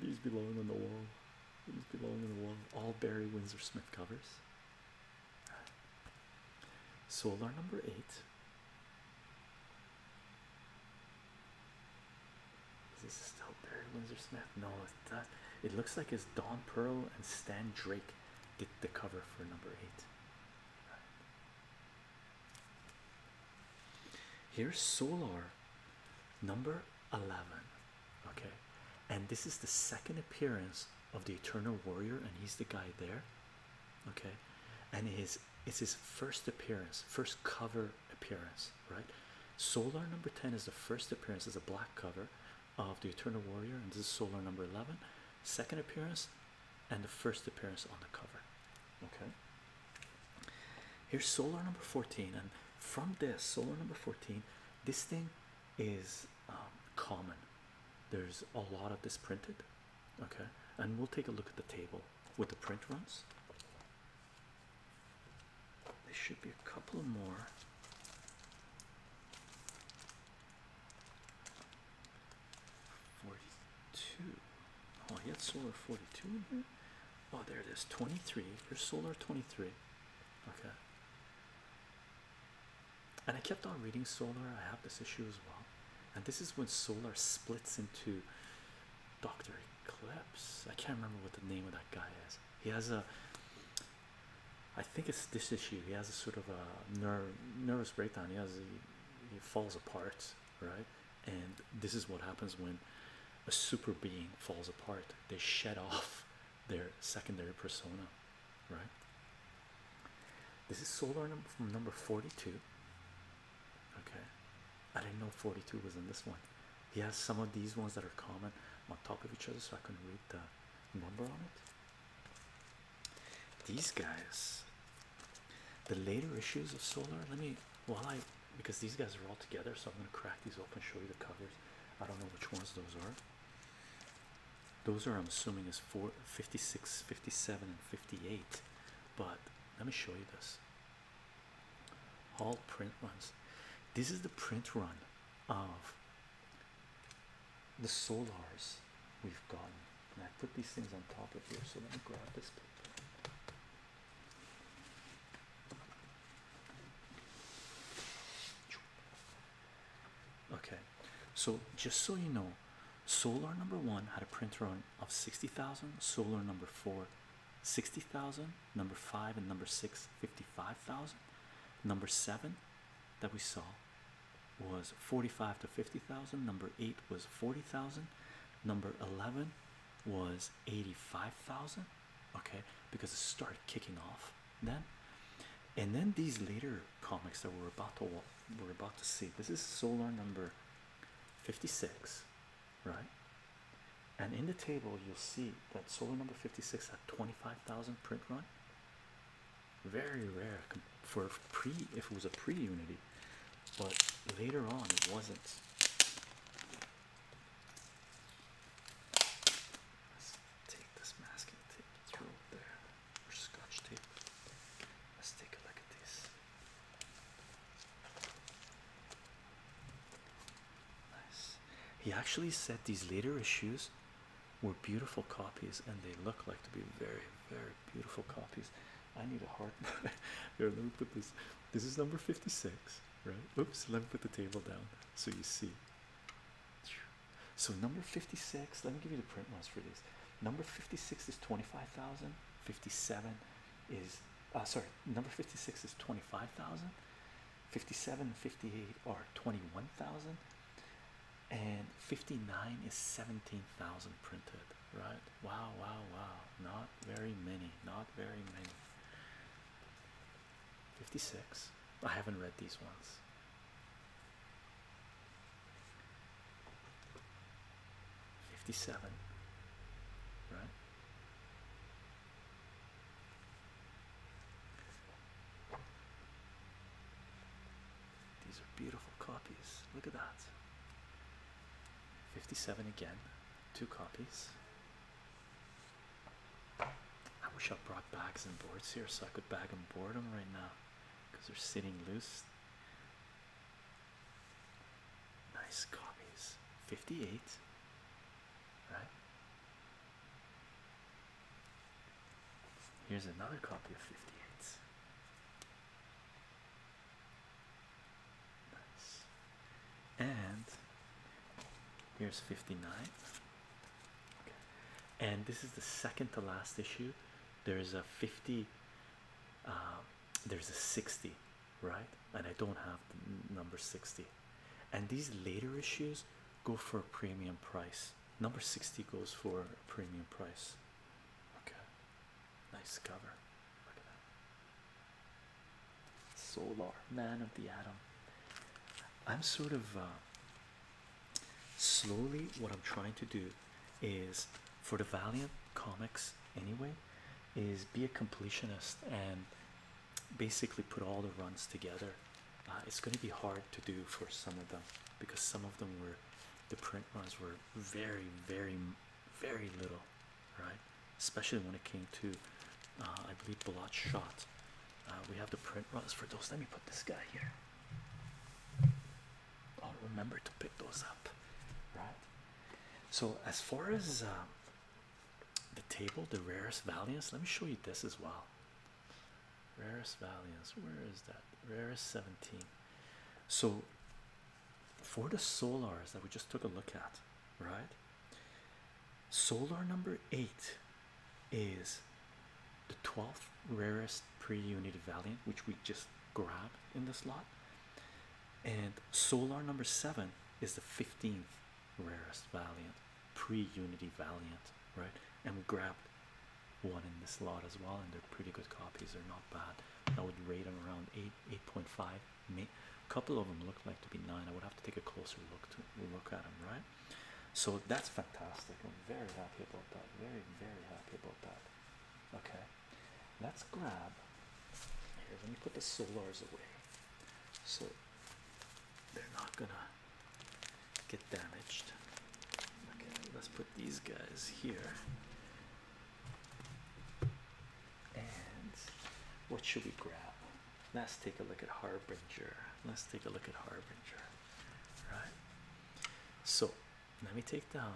These belong on the wall. These belong on the wall. All Barry Windsor Smith covers. Solar number eight. Is this still Barry Windsor Smith? No, it does. It looks like it's Don Pearl and Stan Drake Get the cover for number eight. Here's Solar number 11. Okay, and this is the second appearance of the Eternal Warrior, and he's the guy there. Okay, and his it's his first appearance, first cover appearance, right? Solar number 10 is the first appearance as a black cover of the Eternal Warrior, and this is solar number 11, second appearance, and the first appearance on the cover. Okay, here's solar number 14, and from this solar number 14, this thing is um, common, there's a lot of this printed. Okay, and we'll take a look at the table with the print runs. There should be a couple more. 42. Oh, he had solar 42 Oh, there it is 23. Here's solar 23. Okay. And I kept on reading solar. I have this issue as well. And this is when solar splits into Dr. Eclipse. I can't remember what the name of that guy is. He has a I think it's this issue. He has a sort of a nerve nervous breakdown. He has he falls apart, right? And this is what happens when a super being falls apart. They shed off their secondary persona, right? This is solar number number 42. Okay, I didn't know 42 was in this one. He has some of these ones that are common on top of each other, so I can read the number on it. These guys, the later issues of Solar. Let me while I because these guys are all together, so I'm gonna crack these open, show you the covers. I don't know which ones those are. Those are I'm assuming is 4 57, and 58. But let me show you this. All print runs. This is the print run of the solars we've gotten. And I put these things on top of here, so let me grab this paper. Okay, so just so you know, solar number one had a print run of 60,000, solar number four, 60,000, number five, and number six, 55,000, number seven that we saw, was 45 to 50,000. Number 8 was 40,000. Number 11 was 85,000. Okay, because it started kicking off then. And then these later comics that we're about to we're about to see. This is Solar number 56, right? And in the table, you'll see that Solar number 56 had 25,000 print run. Very rare for pre if it was a pre unity, but later on it wasn't. Let's take this masking tape, throw it there, scotch tape. Let's take a look at this. Nice. He actually said these later issues were beautiful copies, and they look like to be very, very beautiful copies. I need a heart. Here, let me put this. This is number 56, right? Oops, let me put the table down so you see. So, number 56, let me give you the print ones for this. Number 56 is 25,000, 57 is, uh, sorry, number 56 is 25,000, 57 and 58 are 21,000 and 59 is 17,000 printed, right? Wow, wow, wow, not very many, not very many. 56, I haven't read these ones. Fifty-seven, right? These are beautiful copies. Look at that. 57 again, two copies. I wish I brought bags and boards here so I could bag and board them right now because they're sitting loose. Nice copies. 58, right? Here's another copy of 58. Nice. And here's 59. And this is the second to last issue. There is a 50, um, there's a 60, right? And I don't have number 60. And these later issues go for a premium price. Number 60 goes for a premium price. Okay, nice cover. Solar, man of the atom. I'm sort of uh, slowly, what I'm trying to do is for the Valiant comics anyway, is be a completionist and basically put all the runs together. Uh, it's going to be hard to do for some of them because some of them were the print runs were very, very, very little, right? Especially when it came to, uh, I believe, Blot Shot. Uh, we have the print runs for those. Let me put this guy here. I'll remember to pick those up, right? So, as far as uh, the table, the rarest valiants, let me show you this as well. Rarest Valiance, where is that? Rarest 17. So, for the solars that we just took a look at, right? Solar number 8 is the 12th rarest pre unit Valiant, which we just grabbed in the slot. And solar number 7 is the 15th rarest Valiant pre unity Valiant, right? And we grabbed one in this lot as well, and they're pretty good copies. They're not bad. I would rate them around eight, eight point five. May a couple of them look like to be nine. I would have to take a closer look to look at them, right? So that's fantastic. I'm very happy about that. Very, very happy about that. Okay, let's grab. Here, let me put the solars away, so they're not gonna get damaged. Okay, let's put these guys here. And what should we grab? Let's take a look at Harbinger. Let's take a look at Harbinger. Right? So let me take down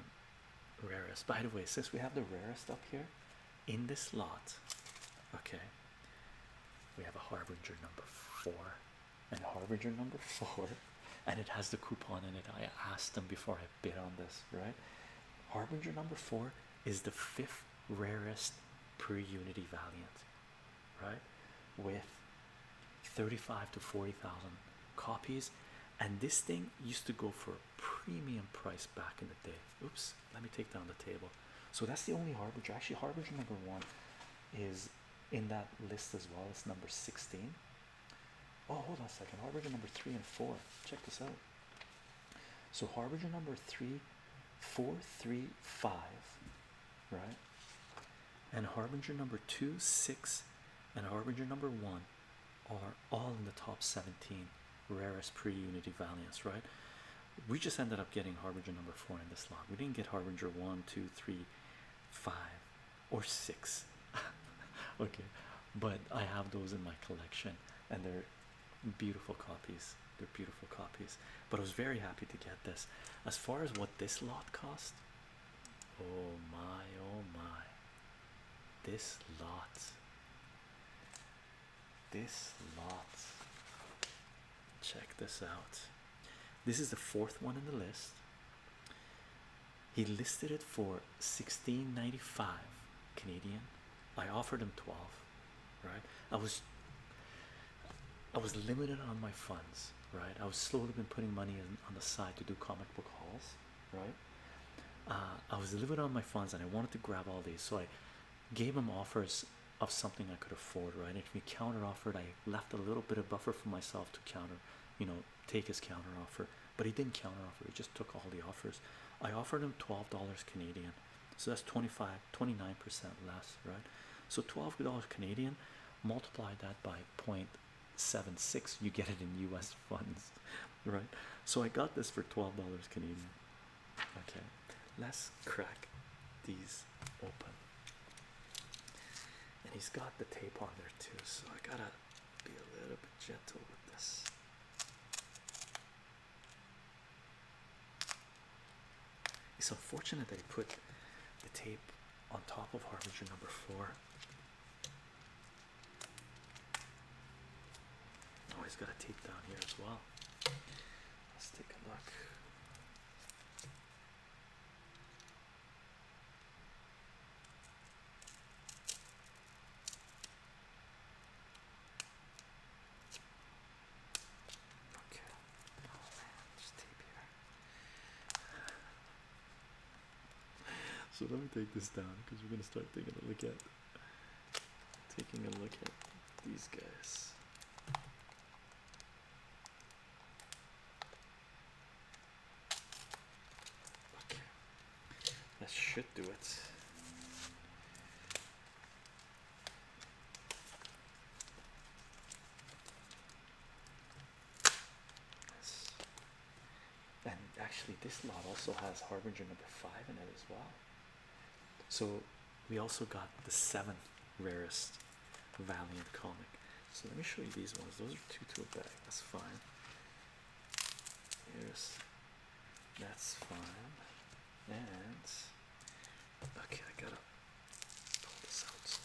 rarest. By the way, since we have the rarest up here in this lot, okay, we have a Harbinger number four. And Harbinger number four and it has the coupon in it. I asked them before I bid on this, right? Harbinger number four is the fifth rarest pre unity valiant, right? With 35 to 40,000 copies, and this thing used to go for a premium price back in the day. Oops, let me take down the table. So that's the only harbinger. Actually, harbinger number one is in that list as well. It's number 16 Oh, hold on a second. Harbinger number three and four. Check this out. So harbinger number three, four, three, five, right? And harbinger number two, six, and harbinger number one are all in the top 17 rarest pre-unity valiants, right? We just ended up getting harbinger number four in this log. We didn't get harbinger one, two, three, five, or six. okay, but I have those in my collection, and they're beautiful copies. They're beautiful copies. But I was very happy to get this. As far as what this lot cost, oh my, oh my, this lot, this lot. Check this out. This is the fourth one in the list. He listed it for 1695 Canadian. I offered him 12, right? I was I was limited on my funds, right? I was slowly been putting money in, on the side to do comic book hauls, right? Uh, I was limited on my funds and I wanted to grab all these, so I gave him offers of something I could afford, right? If he counter offered, I left a little bit of buffer for myself to counter, you know, take his counteroffer, but he didn't counteroffer. he just took all the offers. I offered him $12 Canadian, so that's 25 29% less, right? So $12 Canadian, multiply that by 0.76, you get it in US funds, right? So I got this for $12 Canadian. Okay, let's crack these open. And he's got the tape on there too, so I gotta be a little bit gentle with this. It's unfortunate that he put the tape on top of Harbinger number four. Oh, he's got a tape down here as well. Let's take a look. Okay. Oh man, just tape here. so let me take this down because we're gonna start taking a look at taking a look at these guys that should do it. And actually, this lot also has Harbinger number five in it as well. So, we also got the seventh rarest Valiant comic. So, let me show you these ones. Those are two to a bag, that's fine. Here's that's fine. And okay, I gotta pull this out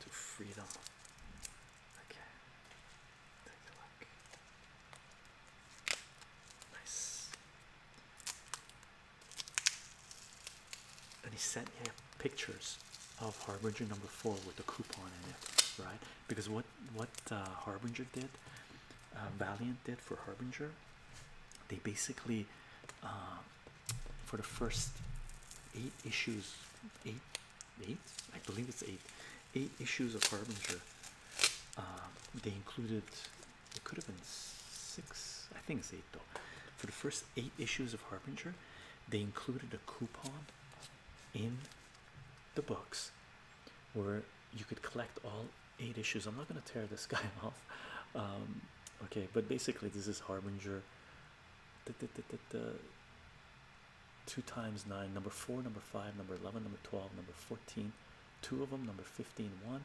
to freedom. Okay, take a look. Nice. And he sent me pictures of harbinger number four with the coupon in it right because what what uh, harbinger did uh, valiant did for harbinger they basically um, for the first eight issues eight eight i believe it's eight eight issues of harbinger um, they included it could have been six i think it's eight though for the first eight issues of harbinger they included a coupon in the books where you could collect all eight issues. I'm not going to tear this guy off, um, okay, but basically, this is Harbinger. Two times nine, number four, number five, number 11, number 12, number fourteen, two of them, number 15, one,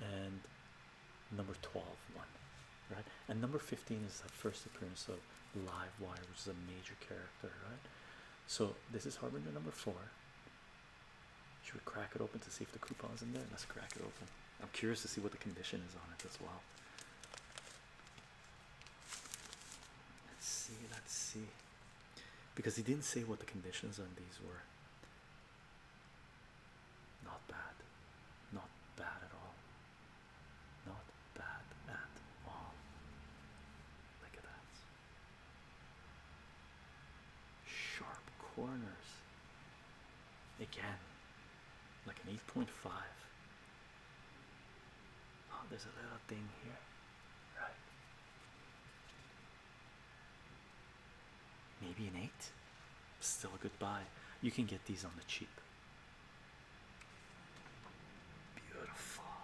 and number 12, one, right? And number 15 is that first appearance of Live Wire, which is a major character, right? So this is Harbinger number four. Should we crack it open to see if the coupon's in there? Let's crack it open. I'm curious to see what the condition is on it as well. Let's see, let's see. Because he didn't say what the conditions on these were. Not bad. Not bad at all. Not bad at all. Look at that. Sharp corners. Again, like an 8.5. Oh, there's a little thing here. Right. Maybe an 8. Still a good buy. You can get these on the cheap. Beautiful,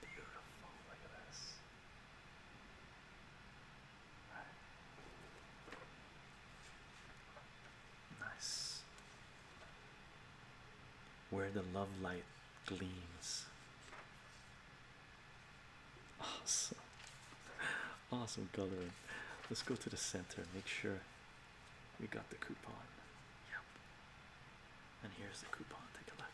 beautiful. Look at this. Nice. Where the love light gleams. Awesome. Awesome coloring. Let's go to the center. Make sure we got the coupon. Yep. And here's the coupon. Take a look.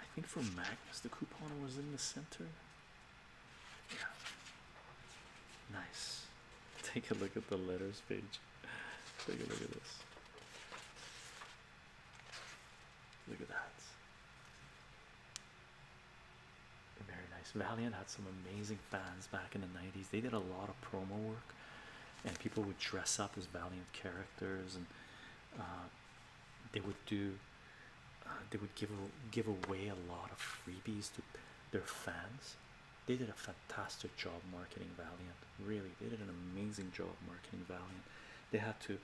I think for Magnus, the coupon was in the center. Yeah. Nice. Take a look at the letters page. Take a look at this. Look at that. Very nice. Valiant had some amazing fans back in the 90s. They did a lot of promo work, and people would dress up as Valiant characters, and uh, they would do. Uh, they would give give away a lot of freebies to their fans. They did a fantastic job marketing Valiant. Really, they did an amazing job marketing Valiant. They had to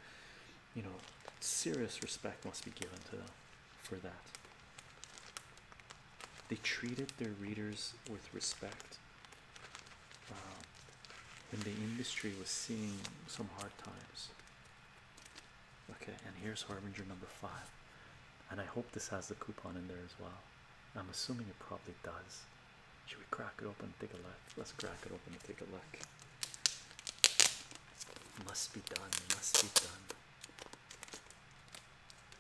you know, serious respect must be given to them for that. They treated their readers with respect um, when the industry was seeing some hard times. Okay, and here's Harbinger number five. And I hope this has the coupon in there as well. I'm assuming it probably does. Should we crack it open take a look? Let's crack it open and take a look. Must be done, must be done.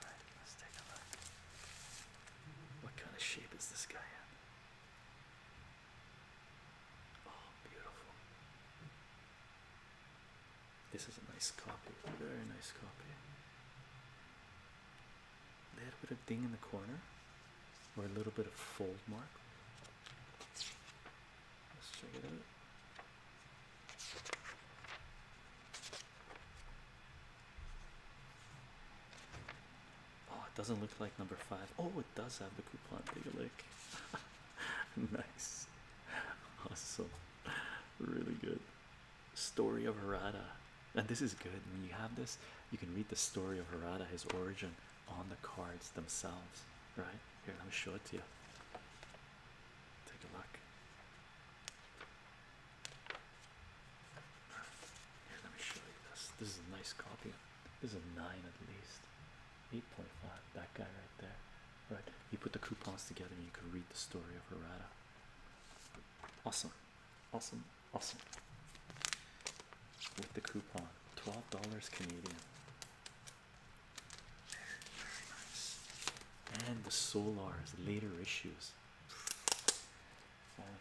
Alright, let's take a look. What kind of shape is this guy in? Oh, beautiful. This is a nice copy, very nice copy. Little bit of ding in the corner, or a little bit of fold mark. Let's check it out. Oh, it doesn't look like number five. Oh, it does have the coupon. Take a look. nice, awesome, really good. Story of Harada, and this is good. When you have this, you can read the story of Harada, his origin, on the cards themselves, right? Here, let me show it to you. Take a look. Here, let me show you this. This is a nice copy. This is a nine at least. 8.5. That guy right there. Right. You put the coupons together and you can read the story of Errata. Awesome. Awesome. Awesome. With the coupon twelve dollars Canadian. Very, very nice. And the Solars later issues.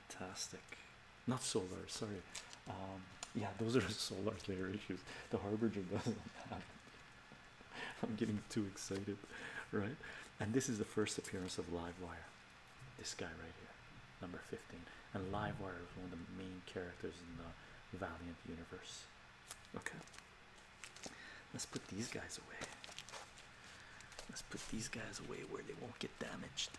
Fantastic. Not Solar, sorry. Um, yeah, those are Solar later issues. The Harbinger doesn't I'm getting too excited, right? And this is the first appearance of Livewire. This guy right here number 15 and livewire is one of the main characters in the valiant universe okay let's put these guys away let's put these guys away where they won't get damaged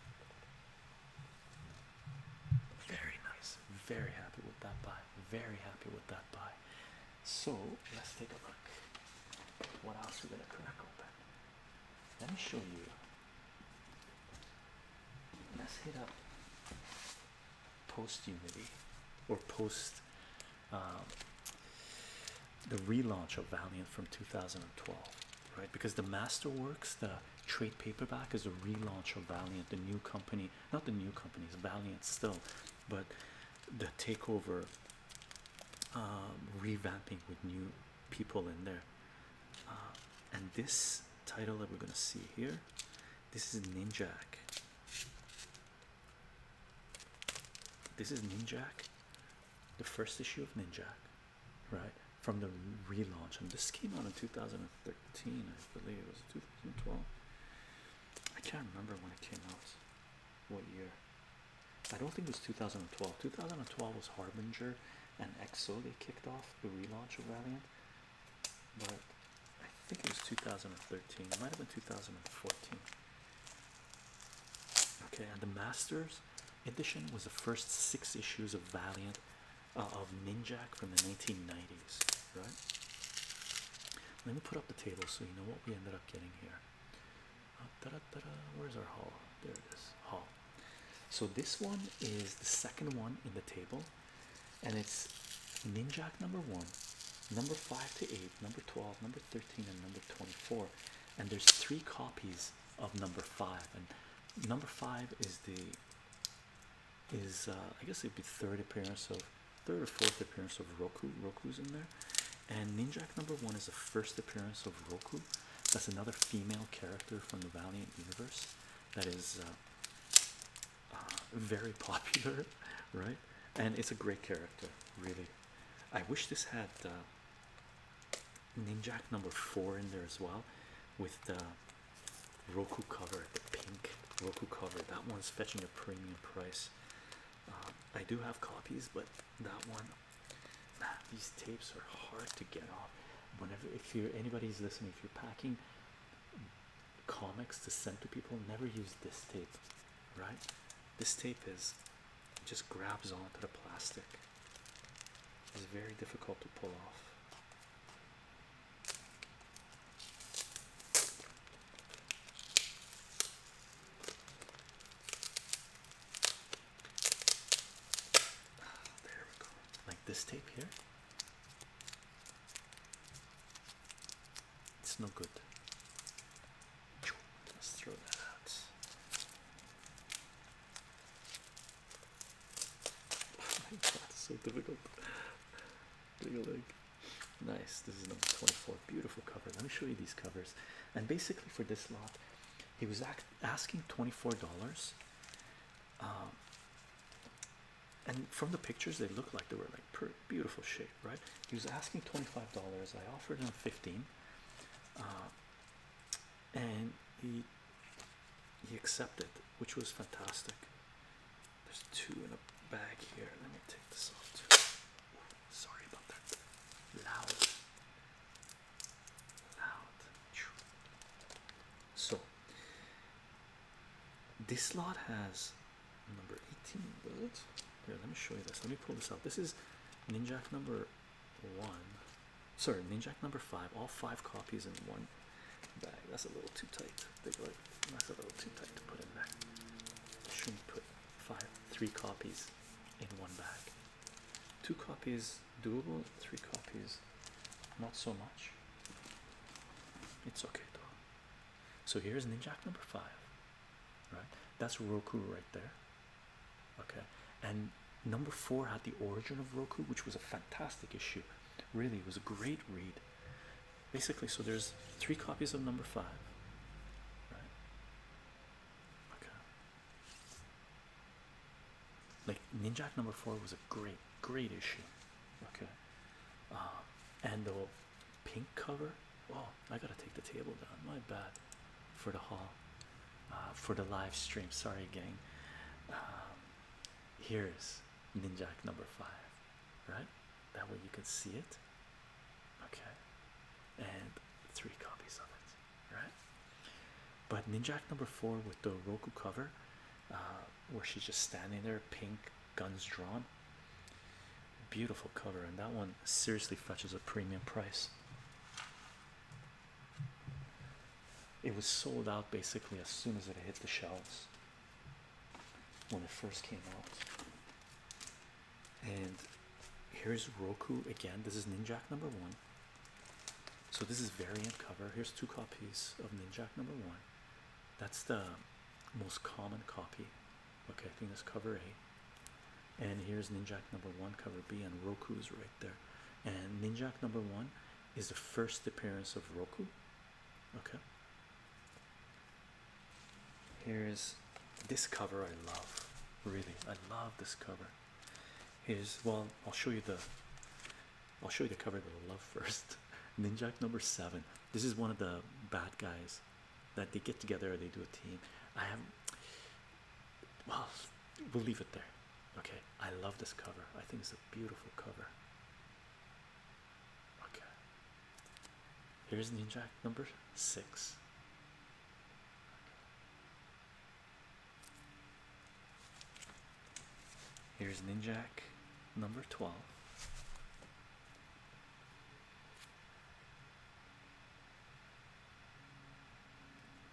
very nice very happy with that buy very happy with that buy so let's take a look what else we're gonna crack open let me show you Let's hit up post Unity or post um, the relaunch of Valiant from 2012, right? Because the Masterworks, the trade paperback, is a relaunch of Valiant, the new company, not the new company, it's Valiant still, but the takeover, um, revamping with new people in there. Uh, and this title that we're gonna see here this is ninjak this is ninjak the first issue of ninjak right from the relaunch and this came out in 2013 i believe it was 2012 i can't remember when it came out what year i don't think it was 2012 2012 was harbinger and exo they kicked off the relaunch of valiant but I think it was 2013. It might have been 2014. Okay, and the Masters edition was the first six issues of Valiant uh, of Ninjak from the 1990s, right? Let me put up the table so you know what we ended up getting here. Uh, da -da -da. Where's our haul? There it is. Haul. So this one is the second one in the table and it's Ninjak number one, number five to eight, number 12, number 13, and number 24. And there's three copies of number five, and number five is the is uh, I guess it'd be third appearance of third or fourth appearance of Roku. Roku's in there, and Ninjak number one is the first appearance of Roku. That's another female character from the Valiant universe that is uh, very popular, right? And it's a great character, really. I wish this had uh, Ninjak number four in there as well, with the Roku cover, the pink Roku cover. That one's fetching a premium price. Um, I do have copies, but that one, these tapes are hard to get off. Whenever, if you're anybody's listening, if you're packing comics to send to people never use this tape, right? This tape is just grabs onto the plastic. It's very difficult to pull off. Ah, there we go. Like this tape here. It's no good. Let's throw that Oh my god, it's so difficult. Take a Nice. This is number 24. Beautiful cover. Let me show you these covers. And basically, for this lot, he was asking $24 um, and from the pictures, they looked like they were like beautiful shape, right? He was asking twenty-five dollars. I offered him fifteen, uh, and he he accepted, which was fantastic. There's two in a bag here. Let me take this off too. sorry about that. Loud, loud. So this lot has number 18 bullets. Here, let me show you this. Let me pull this out. This is Ninjak number one. Sorry, Ninjak number five. All five copies in one bag. That's a little too tight. that's a little too tight to put in there. Shouldn't put five three copies in one bag. Two copies doable, three copies not so much. It's okay though. So here's Ninjak number five, right? That's Roku right there. Okay, and number four had the origin of Roku, which was a fantastic issue. Really, it was a great read. Basically, so there's three copies of number five. Right? Okay. Like Ninjak number four was a great great, issue. Okay, um, and the pink cover. Oh, I gotta take the table down. My bad for the hall, uh, for the live stream. Sorry, gang. Um, here's Ninjak number five, right? That way you can see it. Okay, and three copies of it, right? But Ninjak number four with the Roku cover uh, where she's just standing there, pink, guns drawn. Beautiful cover, and that one seriously fetches a premium price. It was sold out basically as soon as it hit the shelves when it first came out. And here's Roku again. This is Ninjak number one. So this is variant cover. Here's two copies of Ninjak number one. That's the most common copy. Okay, I think that's cover A. And here's Ninjak number one, cover B, and Roku's right there. And Ninjak number one is the first appearance of Roku. Okay. Here's this cover I love. Really, I love this cover. Here's well, I'll show you the I'll show you the cover that I love first. Ninjak number seven. This is one of the bad guys that they get together. They do a team. I have. Well, we'll leave it there. Okay. I love this cover. I think it's a beautiful cover. Okay. Here's Ninja number six. Here's Ninjak number 12.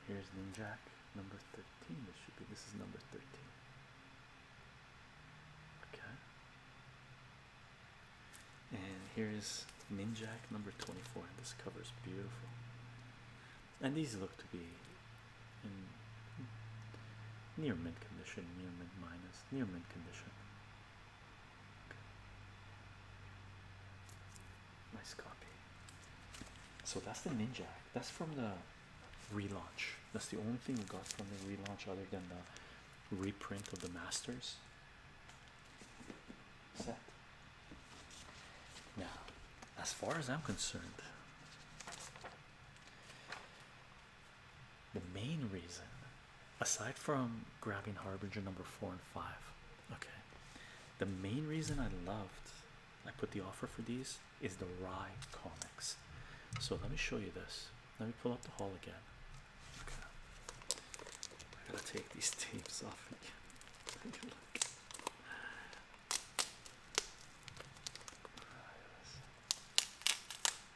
Here's Ninjak number 13. This should be this is number 13. Okay. And here's Ninjak number 24. And this cover is beautiful. And these look to be near mint condition, near mint minus. It's near mint condition. Nice copy. So that's the Ninja. That's from the relaunch. That's the only thing we got from the relaunch other than the reprint of the Masters Now, as far as I'm concerned, the main reason, aside from grabbing Harbinger number four and five, okay, the main reason I loved I put the offer for these is the Rye comics. So let me show you this. Let me pull up the haul again. Okay. I gotta take these tapes off again.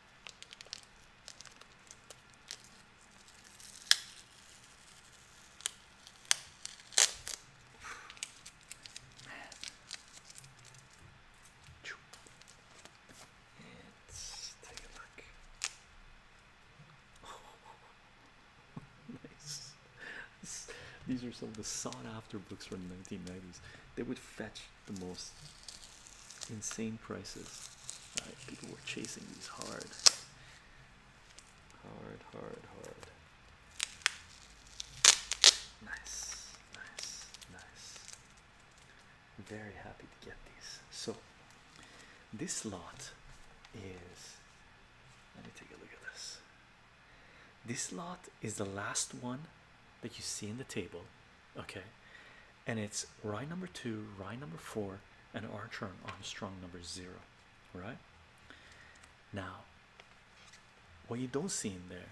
nice. These are some of the sought after books from the 1990s. They would fetch the most insane prices. people were chasing these hard, hard, hard, hard. Nice, nice, nice. Very happy to get these. So, this lot is. Let me take a look at this. This lot is the last one that you see in the table, okay? and it's rye number two, rye number four, and Archer and Armstrong number zero. Right now, what you don't see in there,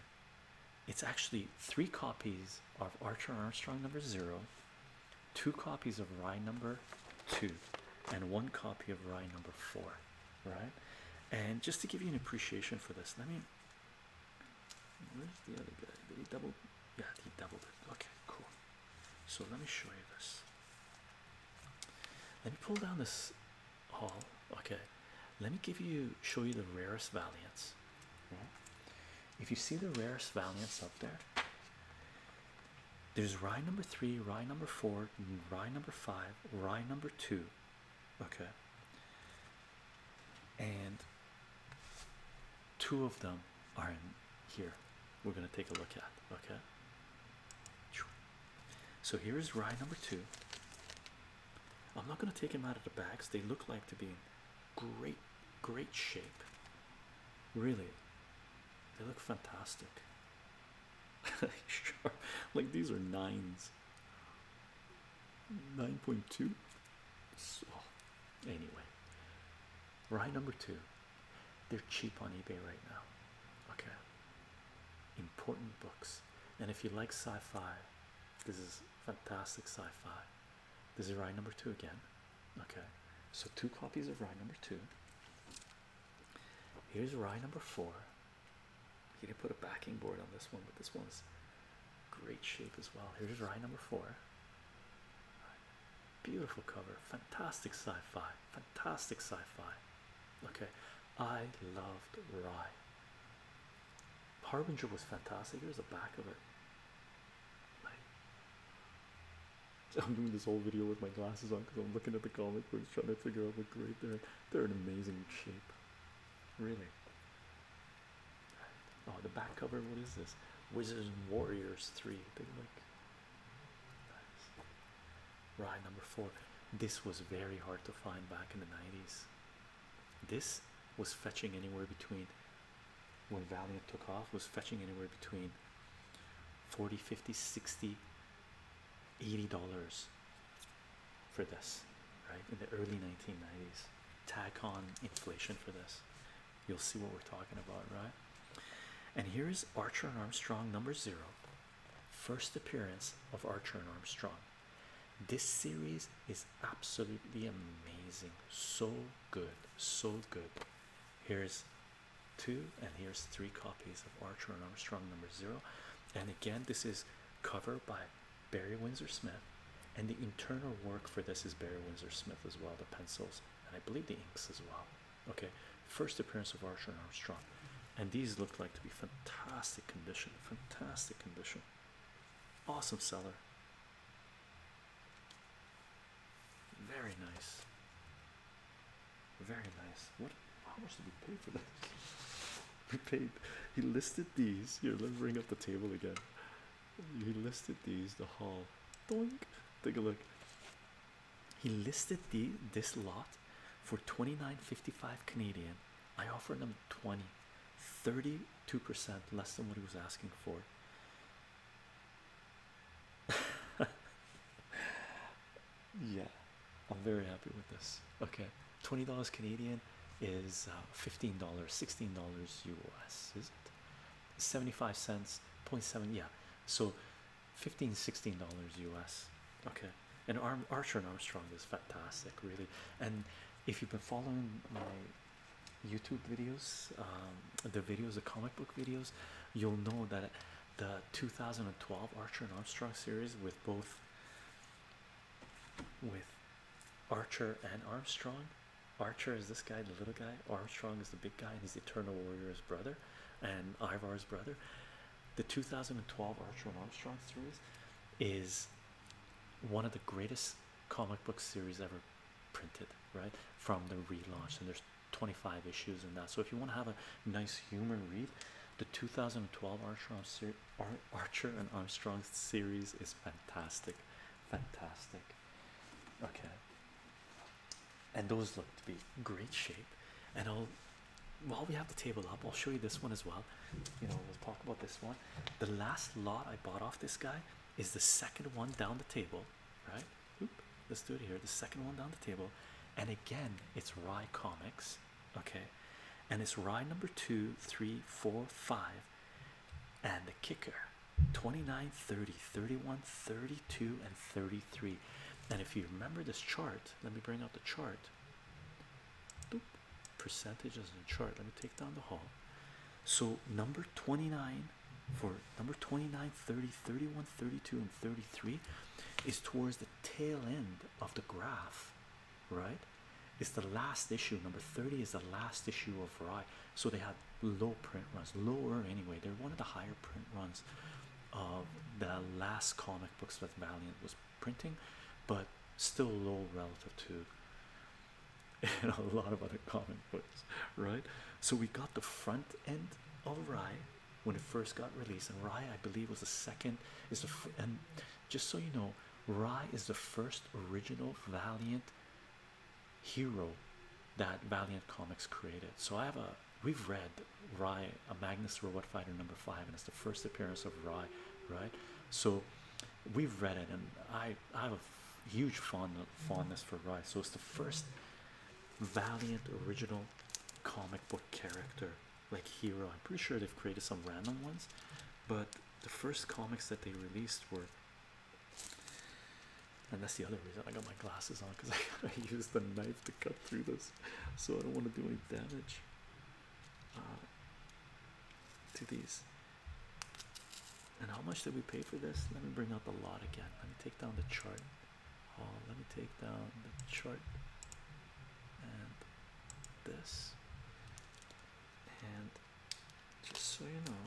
it's actually three copies of Archer Armstrong number zero, two copies of rye number two, and one copy of rye number four. Right, and just to give you an appreciation for this, let me Where's the other guy? Did he double? Yeah, he doubled it. Okay, cool. So let me show you this. Let me pull down this hall. Okay, let me give you show you the rarest valiants. If you see the rarest valiants up there, there's rye number three, rye number four, rye number five, rye number two. Okay, and two of them are in here. We're going to take a look at. Okay. So here is rye number two. I'm not going to take them out of the bags. They look like to be in great, great shape. Really, they look fantastic. like these are nines. 9.2 so anyway right number two they're cheap on ebay right now okay important books and if you like sci-fi this is fantastic sci-fi this is ride number two again okay so two copies of ride number two here's ride number four he didn't put a backing board on this one but this one's Great shape as well. Here's rye number four. Beautiful cover, fantastic sci-fi, fantastic sci-fi. Okay, I loved Rye. Harbinger was fantastic. Here's the back of it. I'm doing this whole video with my glasses on because I'm looking at the comic books, trying to figure out what great they're. They're an amazing shape, really. Oh, the back cover. What is this? Wizards and Warriors three. They like. Nice. Right, number four. This was very hard to find back in the nineties. This was fetching anywhere between. When Valiant took off, was fetching anywhere between 40, 50, 60, 80 dollars for this, right? In the early 1990s, tag on inflation for this. You'll see what we're talking about, right? And here is Archer and Armstrong number zero, first appearance of Archer and Armstrong. This series is absolutely amazing, so good, so good. Here's two, and here's three copies of Archer and Armstrong number zero. And again, this is cover by Barry Windsor Smith and the internal work for this is Barry Windsor Smith as well, the pencils, and I believe the inks as well. Okay, first appearance of Archer and Armstrong, and these look like to be fantastic condition, fantastic condition, awesome seller, very nice, very nice. What? How much did we pay for this? we paid. He listed these. You're me up the table again he listed these the whole. doink take a look he listed the this lot for 29.55 canadian i offered him 20 32 percent less than what he was asking for yeah i'm very happy with this okay 20 canadian is uh, 15 dollars 16 dollars us is it 75 cents 0.7 yeah so 15 16 dollars us okay and arm archer and armstrong is fantastic really and if you've been following my youtube videos um, the videos the comic book videos you'll know that the 2012 archer and armstrong series with both with archer and armstrong Archer is this guy, the little guy. Armstrong is the big guy, and he's the Eternal Warrior's brother, and Ivar's brother. The 2012 Archer and Armstrong series is one of the greatest comic book series ever printed, right? From the relaunch, and there's 25 issues in that. So if you want to have a nice humor read, the 2012 Archer and Armstrong series is fantastic, fantastic okay and those look to be great shape and i'll while we have the table up i'll show you this one as well you know we'll talk about this one the last lot i bought off this guy is the second one down the table right let's do it here the second one down the table and again it's rye comics okay and it's rye number two three four five and the kicker 29 30 31 32 and 33 and if you remember this chart let me bring out the chart Boop. percentages in the chart let me take down the hall. so number 29 for number 29 30 31 32 and 33 is towards the tail end of the graph right it's the last issue number 30 is the last issue of rye so they had low print runs, lower anyway. They're one of the higher print runs of the last comic books that Valiant was printing, but still low relative to a lot of other comic books, right? So we got the front end of Rye when it first got released, and Rye, I believe, was the second. Is the and just so you know, Rye is the first original Valiant hero that Valiant Comics created. So I have a we've read Rye, a Magnus Robot Fighter number five, and it's the first appearance of Rye, right? So we've read it, and I I have a huge fond fondness for Rye. So it's the first Valiant original comic book character, like hero. I'm pretty sure they've created some random ones, but the first comics that they released were and that's the other reason I got my glasses on because I got use the knife to cut through this, so I don't want to do any damage uh, to these. And how much did we pay for this? Let me bring out the lot again. Let me take down the chart. let me take down the chart and this and just so you know.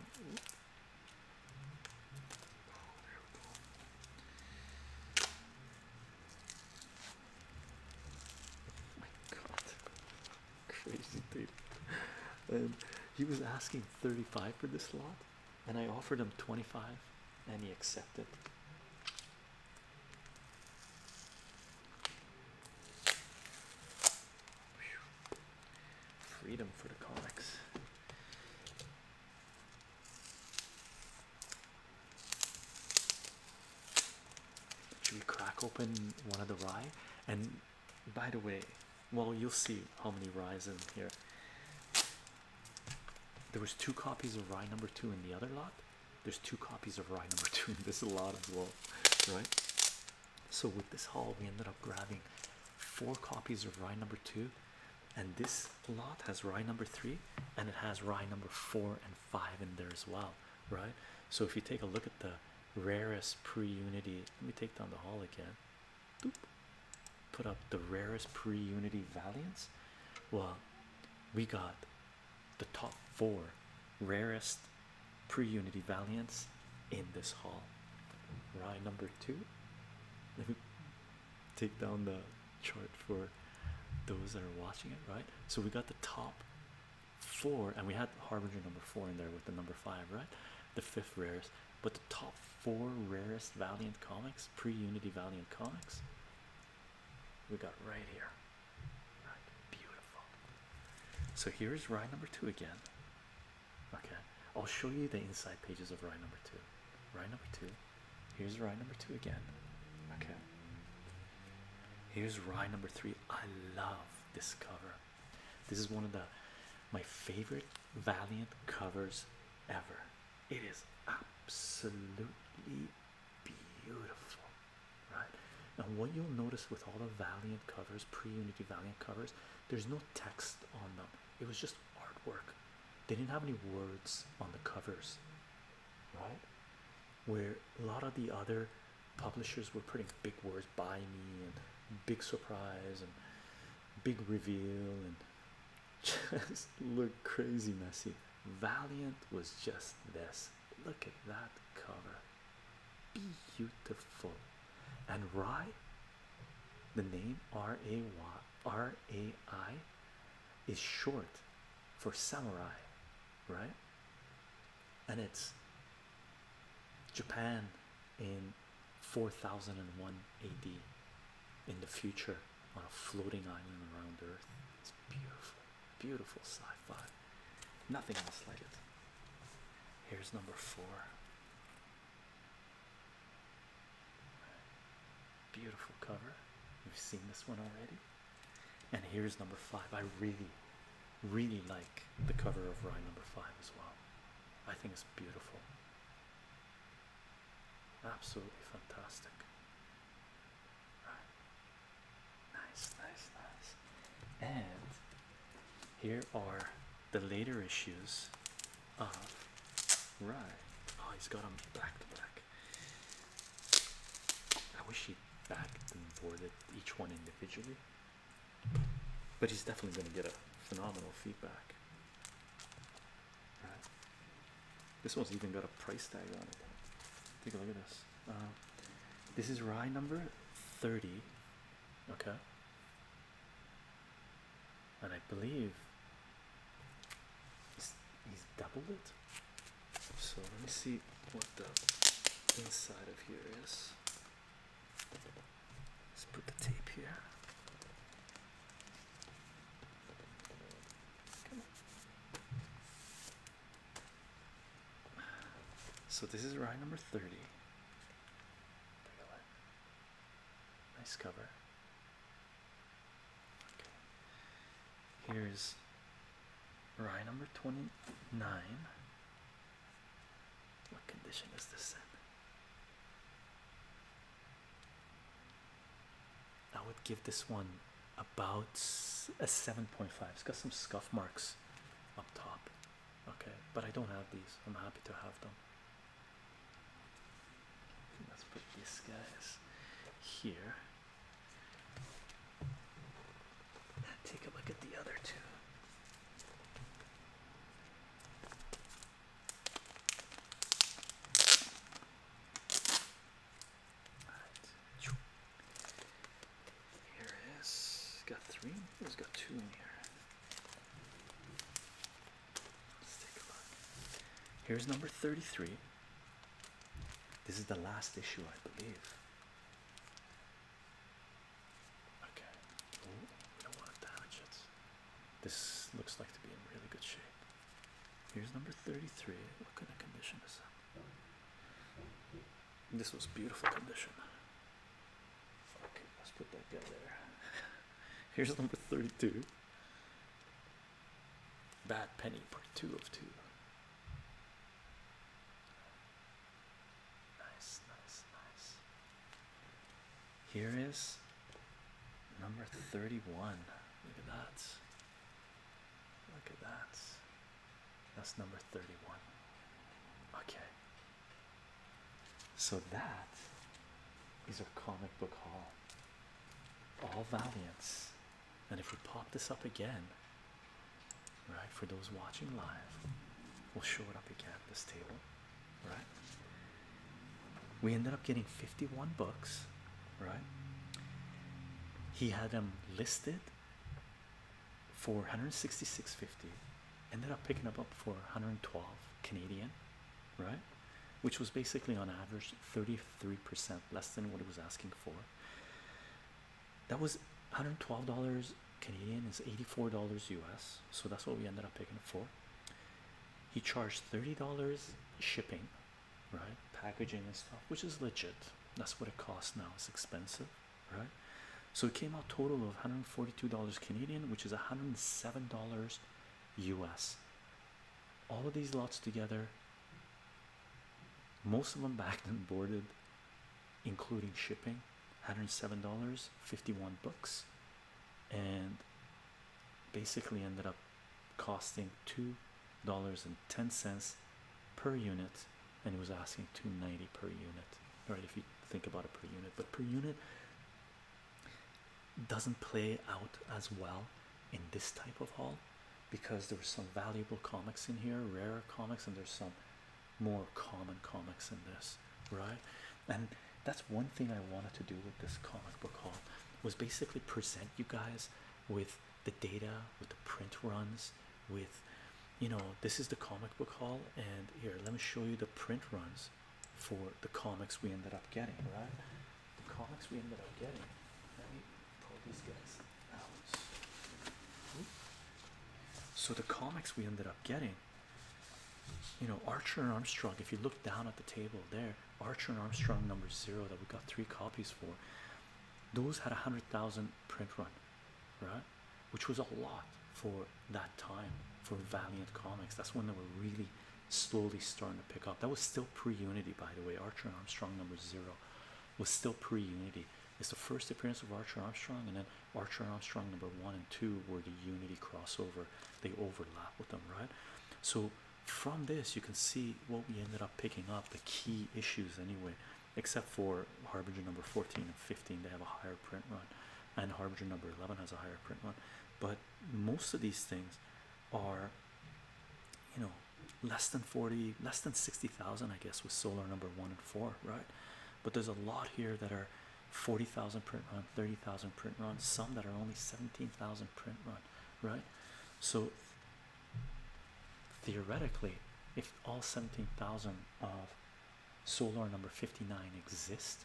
Oh my god. Crazy dude. and um, he was asking 35 for this lot, and I offered him 25 and he accepted. Freedom for the comics. Should we crack open one of the rye? And by the way, well, you'll see how many ryes in here. There was two copies of rye number two in the other lot. There's two copies of rye number two in this lot as well, right? So with this haul, we ended up grabbing four copies of rye number two, and this lot has rye number three, and it has rye number four and five in there as well, right? So if you take a look at the rarest pre-unity, let me take down the hall again. Doop. Put up the rarest pre-unity valiants. Well, we got the top four rarest pre-unity valiants in this hall. Rye number two. Let me take down the chart for those that are watching it, right? So we got the top four, and we had Harbinger number four in there with the number five, right? The fifth rarest, but the top four rarest Valiant comics, pre Unity Valiant comics, we got right here. Right, beautiful. So here's rye number two again. Okay, I'll show you the inside pages of rye number two. Rye number two. Here's rye number two again. Okay. Here's rye number three. I love this cover. This is one of the my favorite Valiant covers ever. It is absolutely beautiful, right? And what you'll notice with all the Valiant covers, pre Unity Valiant covers, there's no text on them it was just artwork they didn't have any words on the covers right where a lot of the other publishers were putting big words by me and big surprise and big reveal and just look crazy messy valiant was just this look at that cover beautiful and Rai, the name R A Y R A I, is short for samurai, right? And it's Japan in 4001 AD in the future on a floating island around Earth. It's beautiful, beautiful sci fi. Nothing else like it. Here's number four. Beautiful cover. You've seen this one already. And here's number five. I really, really like the cover of Rye number five as well. I think it's beautiful. Absolutely fantastic. Nice, nice, nice. And here are the later issues of Right. Oh, he's got them black to black. I wish he backed and boarded each one individually, but he's definitely going to get a phenomenal feedback. This one's even got a price tag on it. Take a look at this. Uh, this is rye number 30. Okay and I believe he's, doubled it. So let me see what the inside of here is. Let's put the tape here. So this is rye number 30. Nice cover. Here's rye number 29. What condition is this in? I would give this one about a 7.5. It's got some scuff marks up top. Okay, but I don't have these. I'm happy to have them. Let's put these guys here. Take a look at the other two. All right. Here is got 3 he It's got two in here. Here's number 33. This is the last issue, I believe. Okay. we don't want to damage it. This looks like to be in really good shape. Here's number 33. What kind of condition is that? This was beautiful condition. Okay, let's put that guy there. Here's number 32. Bad Penny, part two of two. Nice, nice, nice. Here is number 31. Look at that. Look at that. That's number 31. Okay. So that is our comic book haul all valiance. And if we pop this up again, right, for those watching live, we'll show it up again at this table, right? We ended up getting 51 books, right? He had them listed for 166.50, ended up picking up up for 112 Canadian, right? Which was basically on average 33% less than what it was asking for. That was 112 Canadian, is 84 US. So that's what we ended up picking for. He charged $30 shipping, right? Packaging and stuff, which is legit. That's what it costs now. It's expensive, right? So it came out total of 142 Canadian, which is 107 US all of these lots together, most of them backed and boarded, including shipping, $107, 51 books, and basically ended up costing $2.10 per unit, and he was asking 290 per unit, All right, If you think about it per unit, but per unit doesn't play out as well in this type of haul because there were some valuable comics in here, rare comics, and there's some more common comics in this, right? And that's one thing I wanted to do with this comic book haul was basically present you guys with the data, with the print runs, with you know, this is the comic book haul, and here let me show you the print runs for the comics we ended up getting, right? The comics we ended up getting. Let me pull these guys out. So the comics we ended up getting, you know, Archer and Armstrong. If you look down at the table there, Archer and Armstrong number zero that we got three copies for, those had a hundred thousand print run, right? Which was a lot for that time for Valiant Comics. That's when they were really slowly starting to pick up. That was still pre-unity, by the way. Archer Armstrong number zero was still pre-unity. It's the first appearance of Archer Armstrong, and then Archer Armstrong number one and two were the unity crossover. They overlap with them, right? So from this, you can see what we ended up picking up, the key issues anyway, except for Harbinger number 14 and 15, they have a higher print run, and Harbinger number 11 has a higher print run. But most of these things are you know less than 40 less than 60,000 I guess with solar number one and four right but there's a lot here that are 40,000 print run 30,000 print run some that are only 17,000 print run right so theoretically if all 17,000 of solar number 59 exist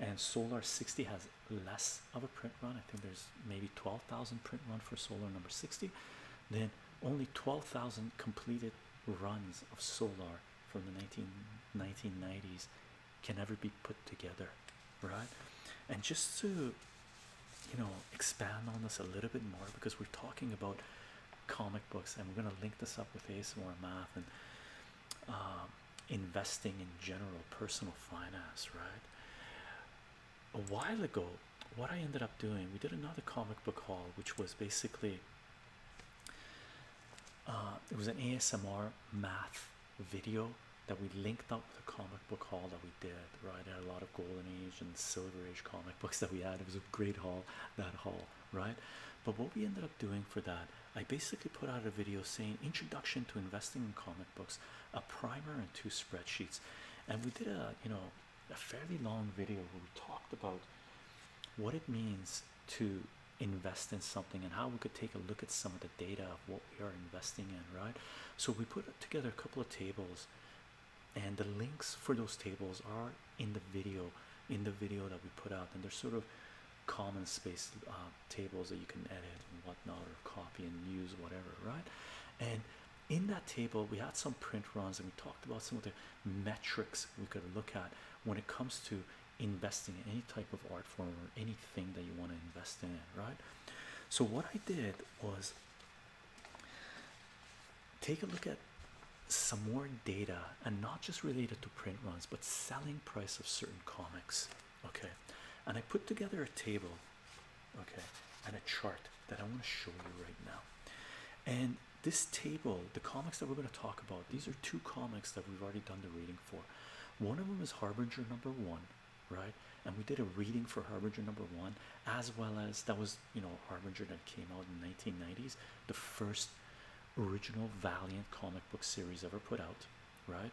and Solar 60 has less of a print run. I think there's maybe 12,000 print run for Solar number 60. Then only 12,000 completed runs of Solar from the 19, 1990s can ever be put together, right? And just to, you know, expand on this a little bit more because we're talking about comic books and we're going to link this up with ASMR math and um, investing in general personal finance, right? A while ago, what I ended up doing, we did another comic book haul, which was basically uh, it was an ASMR math video that we linked up with the comic book haul that we did, right? had a lot of golden age and silver age comic books that we had. It was a great haul, that haul, right? But what we ended up doing for that, I basically put out a video saying introduction to investing in comic books a primer and two spreadsheets and we did a you know a fairly long video where we talked about what it means to invest in something and how we could take a look at some of the data of what we are investing in right so we put together a couple of tables and the links for those tables are in the video in the video that we put out and they're sort of common space um, tables that you can edit and whatnot or copy and use whatever right and in that table we had some print runs and we talked about some of the metrics we could look at when it comes to investing in any type of art form or anything that you want to invest in right so what i did was take a look at some more data and not just related to print runs but selling price of certain comics okay and i put together a table okay and a chart that i want to show you right now and this table the comics that we're going to talk about these are two comics that we've already done the reading for one of them is harbinger number one right and we did a reading for harbinger number one as well as that was you know harbinger that came out in the 1990s the first original valiant comic book series ever put out right?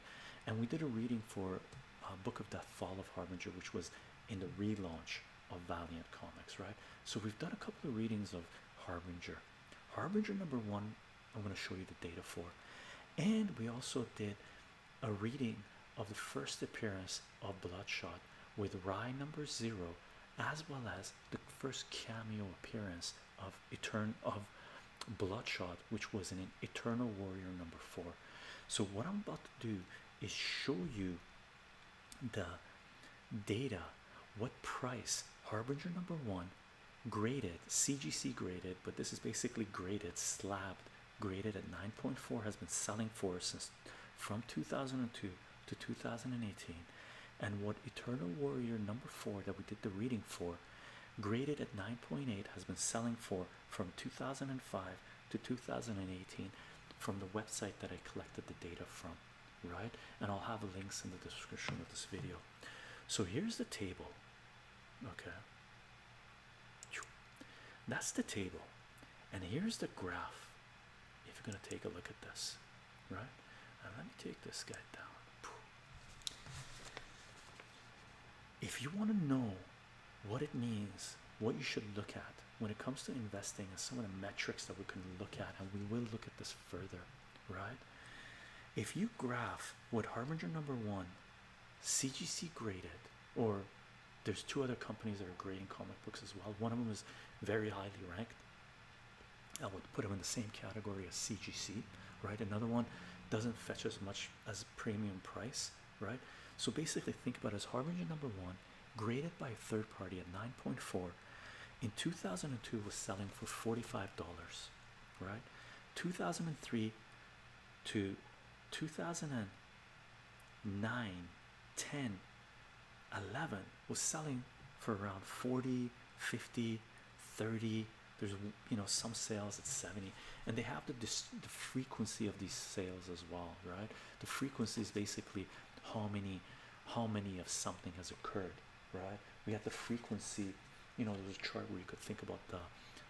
And we did a reading for uh, Book of the Fall of Harbinger, which was in the relaunch of Valiant Comics, right? So we've done a couple of readings of Harbinger. Harbinger number one, I'm going to show you the data for. And we also did a reading of the first appearance of Bloodshot with Rye number zero, as well as the first cameo appearance of Etern of Bloodshot, which was an Eternal Warrior number four. So, what I'm about to do is show you the data, what price Harbinger number one graded, CGC graded, but this is basically graded, slabbed, graded at 9.4, has been selling for since from 2002 to 2018. And what Eternal Warrior number four that we did the reading for, graded at 9.8, has been selling for from 2005 to 2018 from the website that I collected the data from, right? And I'll have links in the description of this video. So here's the table, okay? That's the table, and here's the graph. If you're gonna take a look at this, right? And let me take this guy down. If you want to know what it means, what you should look at when it comes to investing, and some of the metrics that we can look at, and we will look at this further, right? If you graph what Harbinger number one, CGC graded, or there's two other companies that are grading comic books as well. One of them is very highly ranked. I would put them in the same category as CGC, right? Another one doesn't fetch as much as premium price, right? So basically, think about it as Harbinger number one, graded by a third party at 9.4, in 2002 was selling for $45, right? 2003 to 2009, 10, 11 was selling for around 40, 50, 30. There's you know some sales at 70 and they have the, the frequency of these sales as well right the frequency is basically how many how many of something has occurred right we have the frequency you know there's a chart where you could think about the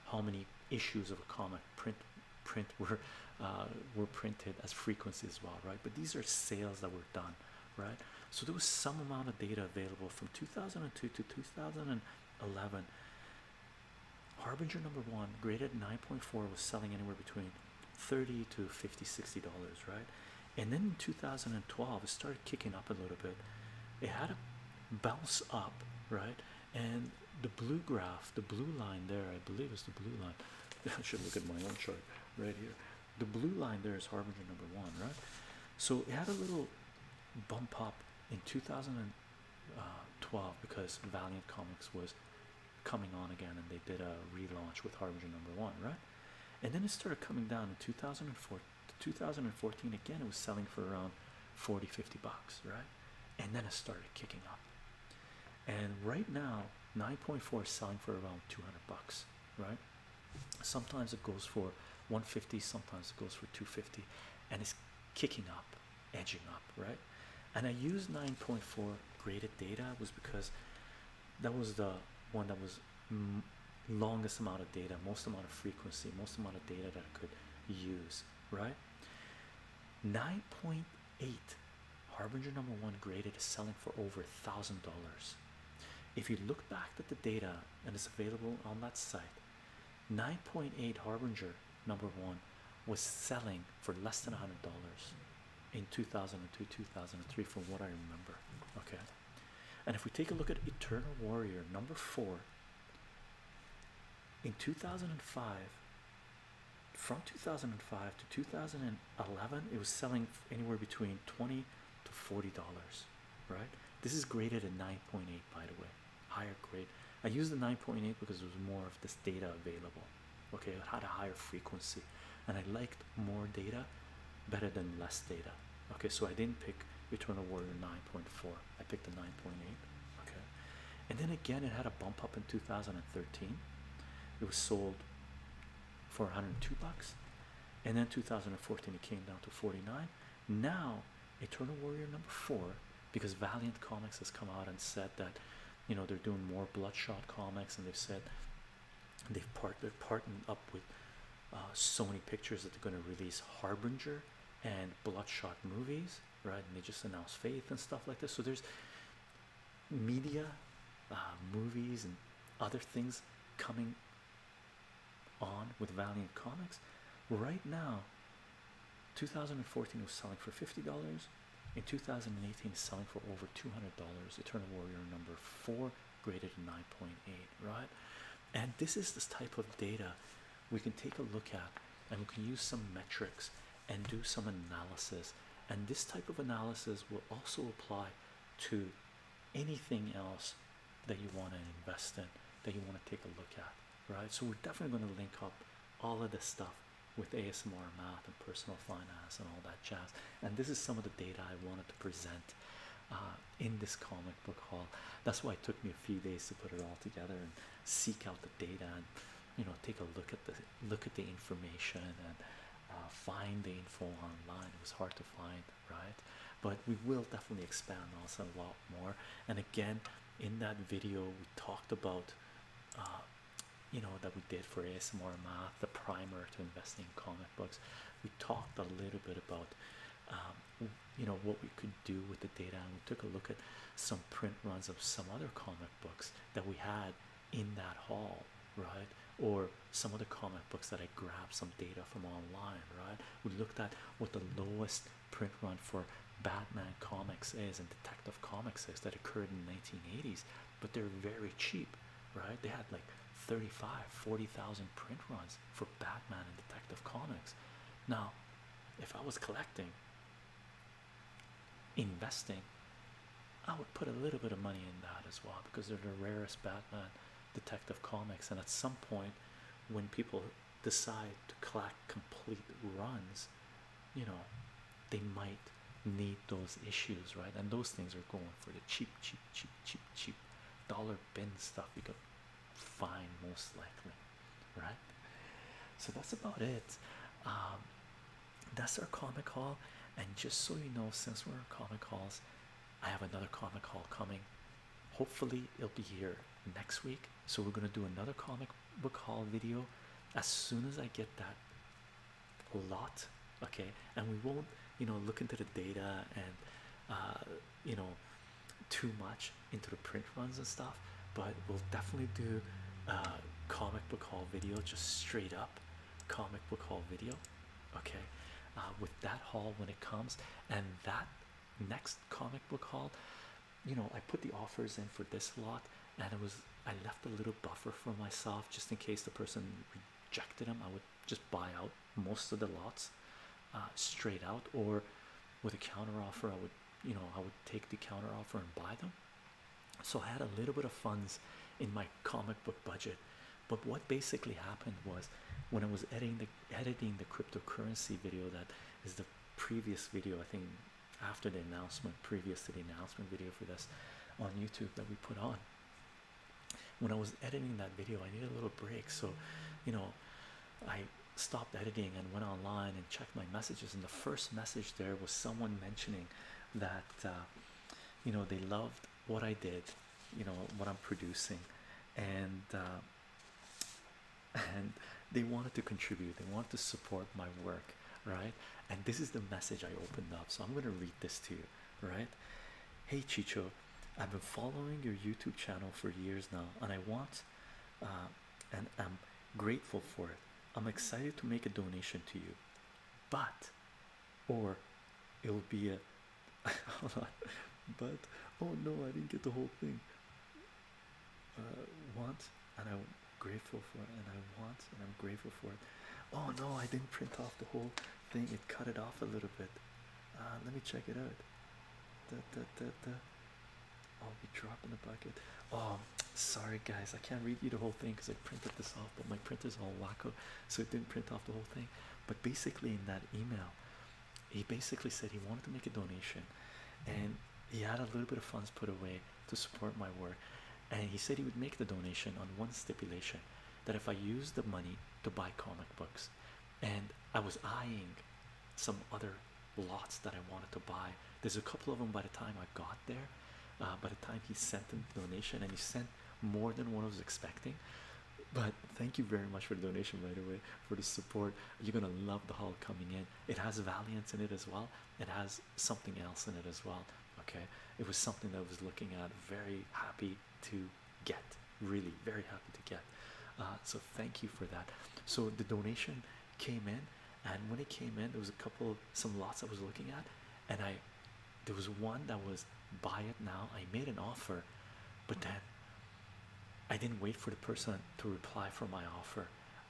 how many issues of a comic print print were uh, were printed as frequency as well right but these are sales that were done right so there was some amount of data available from 2002 to 2011 Harbinger number one graded 9.4 was selling anywhere between 30 to 50 60 dollars, right? And then in 2012 it started kicking up a little bit. It had a bounce up, right? And the blue graph, the blue line there, I believe is the blue line. I should look at my own chart right here. The blue line there is Harbinger number one, right? So it had a little bump up in 2000. And uh, 12 because Valiant Comics was coming on again and they did a relaunch with Harbinger number one, right? And then it started coming down in 2004 2014 again, it was selling for around 40 50 bucks, right? And then it started kicking up, and right now 9.4 is selling for around 200 bucks, right? Sometimes it goes for 150, sometimes it goes for 250, and it's kicking up edging up, right? And I used 9.4 graded data was because that was the one that was longest amount of data, most amount of frequency, most amount of data that I could use, right? 9.8 Harbinger number one graded is selling for over a thousand dollars. If you look back at the data and it's available on that site, 9.8 Harbinger number one was selling for less than $100 in 2002, 2003, from what I remember. Okay, and if we take a look at Eternal Warrior number four in 2005, from 2005 to 2011, it was selling anywhere between 20 to $40, right? This is graded at 9.8, by the way higher grade. I used the 9.8 because there was more of this data available. Okay, it had a higher frequency, and I liked more data better than less data. Okay, so I didn't pick Return of Warrior 9.4, I picked the 9.8. Okay, and then again, it had a bump up in 2013, it was sold for 102 bucks, and then 2014 it came down to 49. Now Eternal Warrior number four because Valiant Comics has come out and said that you know they're doing more Bloodshot comics and they've said they've part they have partnered up with uh, so many Pictures that they're going to release Harbinger and Bloodshot movies, right? And they just announced Faith and stuff like this. So there's media, uh, movies, and other things coming on with Valiant Comics right now. 2014 was selling for $50. In 2018, selling for over $200. Eternal Warrior number four, graded 9.8, right? And this is this type of data we can take a look at and we can use some metrics and do some analysis. And this type of analysis will also apply to anything else that you want to invest in, that you want to take a look at right? So we're definitely going to link up all of this stuff with ASMR math and personal finance and all that jazz. And this is some of the data I wanted to present uh, in this comic book haul. That's why it took me a few days to put it all together and seek out the data and you know take a look at the look at the information and uh, find the info online. It was hard to find, right? But we will definitely expand also a lot more. And again, in that video, we talked about uh, you know that we did for ASMR math, the primer to investing in comic books. We talked a little bit about um, you know what we could do with the data, and we took a look at some print runs of some other comic books that we had in that hall, right? Or some other comic books that I grabbed some data from online, right? We looked at what the lowest print run for Batman comics is and Detective Comics is that occurred in the 1980s, but they're very cheap, right? They had like 35, 40,000 print runs for Batman and Detective Comics. Now, if I was collecting, investing, I would put a little bit of money in that as well because they're the rarest Batman detective comics. And at some point, when people decide to collect complete runs, you know, they might need those issues, right? And those things are going for the cheap, cheap, cheap, cheap, cheap dollar bin stuff you could find most likely, right? So that's about it. Um, that's our comic haul. And just so you know, since we're comic hauls, I have another comic haul coming. Hopefully, it'll be here next week so we're gonna do another comic book haul video as soon as I get that lot okay and we won't you know look into the data and uh, you know too much into the print runs and stuff but we'll definitely do uh, comic book haul video just straight up comic book haul video okay uh, with that haul when it comes and that next comic book haul you know, I put the offers in for this lot, and it was I left a little buffer for myself just in case the person rejected them. I would just buy out most of the lots uh, straight out, or with a counter offer, I would you know I would take the counter offer and buy them. So I had a little bit of funds in my comic book budget, but what basically happened was when I was editing the editing the cryptocurrency video that is the previous video I think after the announcement, previous to the announcement video for this on YouTube that we put on. When I was editing that video, I needed a little break, so you know, I stopped editing and went online and checked my messages. And the first message there was someone mentioning that uh, you know they loved what I did, you know, what I'm producing, and uh, and they wanted to contribute, they wanted to support my work right? And this is the message I opened up, so I'm going to read this to you, right? Hey, Chicho, I've been following your YouTube channel for years now, and I want uh, and I'm grateful for it. I'm excited to make a donation to you, but or it'll be a but oh no, I didn't get the whole thing. Uh, want and I'm grateful for it, and I want and I'm grateful for it. Oh no, I didn't print off the whole thing, it cut it off a little bit. Uh, let me check it out. Da, da, da, da. I'll oh, be dropping the bucket. Oh, sorry guys, I can't read you the whole thing because I printed this off, but my printer's all wacko, so it didn't print off the whole thing. But basically, in that email, he basically said he wanted to make a donation and he had a little bit of funds put away to support my work. And he said he would make the donation on one stipulation that if I used the money to buy comic books, and I was eyeing some other lots that I wanted to buy. There's a couple of them by the time I got there. Uh, by the time he sent the donation, and he sent more than what I was expecting. But thank you very much for the donation, by the way, for the support. You're gonna love the haul coming in. It has Valiance in it as well it has something else in it as well. Okay, it was something that I was looking at, very happy to get, really, very happy to get. Uh, so, thank you for that. So, the donation came in, and when it came in, there was a couple, some lots I was looking at, and I there was one that was buy it now. I made an offer, but then I didn't wait for the person to reply for my offer.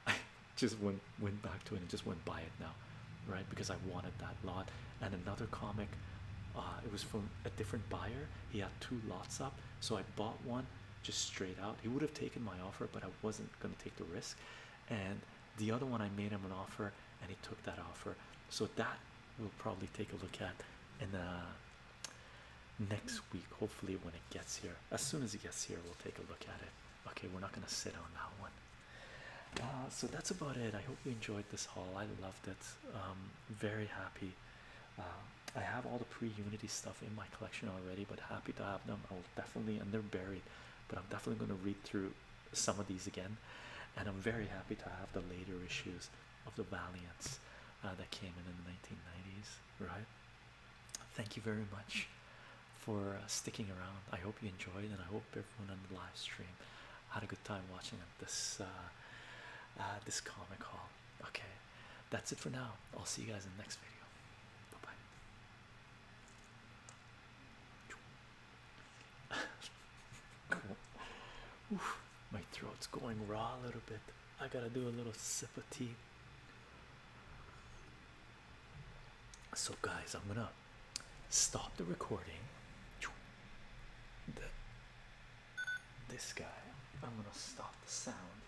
I just went went back to it and just went buy it now, right? Because I wanted that lot. And another comic, uh, it was from a different buyer. He had two lots up, so I bought one just straight out. He would have taken my offer, but I wasn't gonna take the risk. And the other one, I made him an offer, and he took that offer. So that we'll probably take a look at in the uh, next week. Hopefully, when it gets here, as soon as it gets here, we'll take a look at it. Okay, we're not gonna sit on that one. Uh, so that's about it. I hope you enjoyed this haul. I loved it. Um, very happy. Uh, I have all the pre-unity stuff in my collection already, but happy to have them. I will definitely, and they're buried, but I'm definitely going to read through some of these again. And I'm very happy to have the later issues of the Valiants uh, that came in in the 1990s. Right? Thank you very much for uh, sticking around. I hope you enjoyed, and I hope everyone on the live stream had a good time watching this uh, uh, this comic haul. Okay, that's it for now. I'll see you guys in the next video. Bye bye. my throat's going raw a little bit. I gotta do a little sip of tea. So, guys, I'm gonna stop the recording. this guy, I'm gonna stop the sound,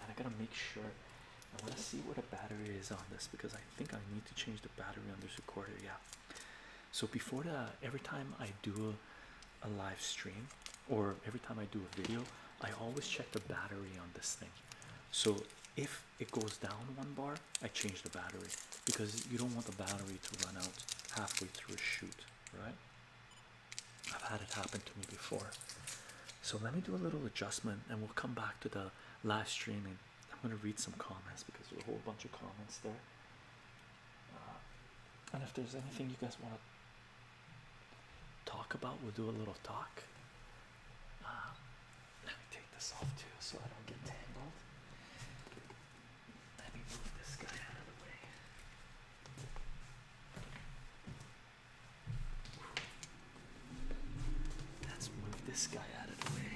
and I gotta make sure. I wanna see what a battery is on this because I think I need to change the battery on this recorder. Yeah. So before the every time I do a live stream or every time I do a video, I always check the battery on this thing. So if it goes down one bar, I change the battery because you don't want the battery to run out halfway through a shoot, right? I've had it happen to me before. So let me do a little adjustment and we'll come back to the live streaming. I'm going to read some comments because there's a whole bunch of comments there. Uh, and if there's anything you guys want to talk about, we'll do a little talk. Um, let me take this off too so I don't get tangled. Let me move this guy out of the way. Let's move this guy out of the way.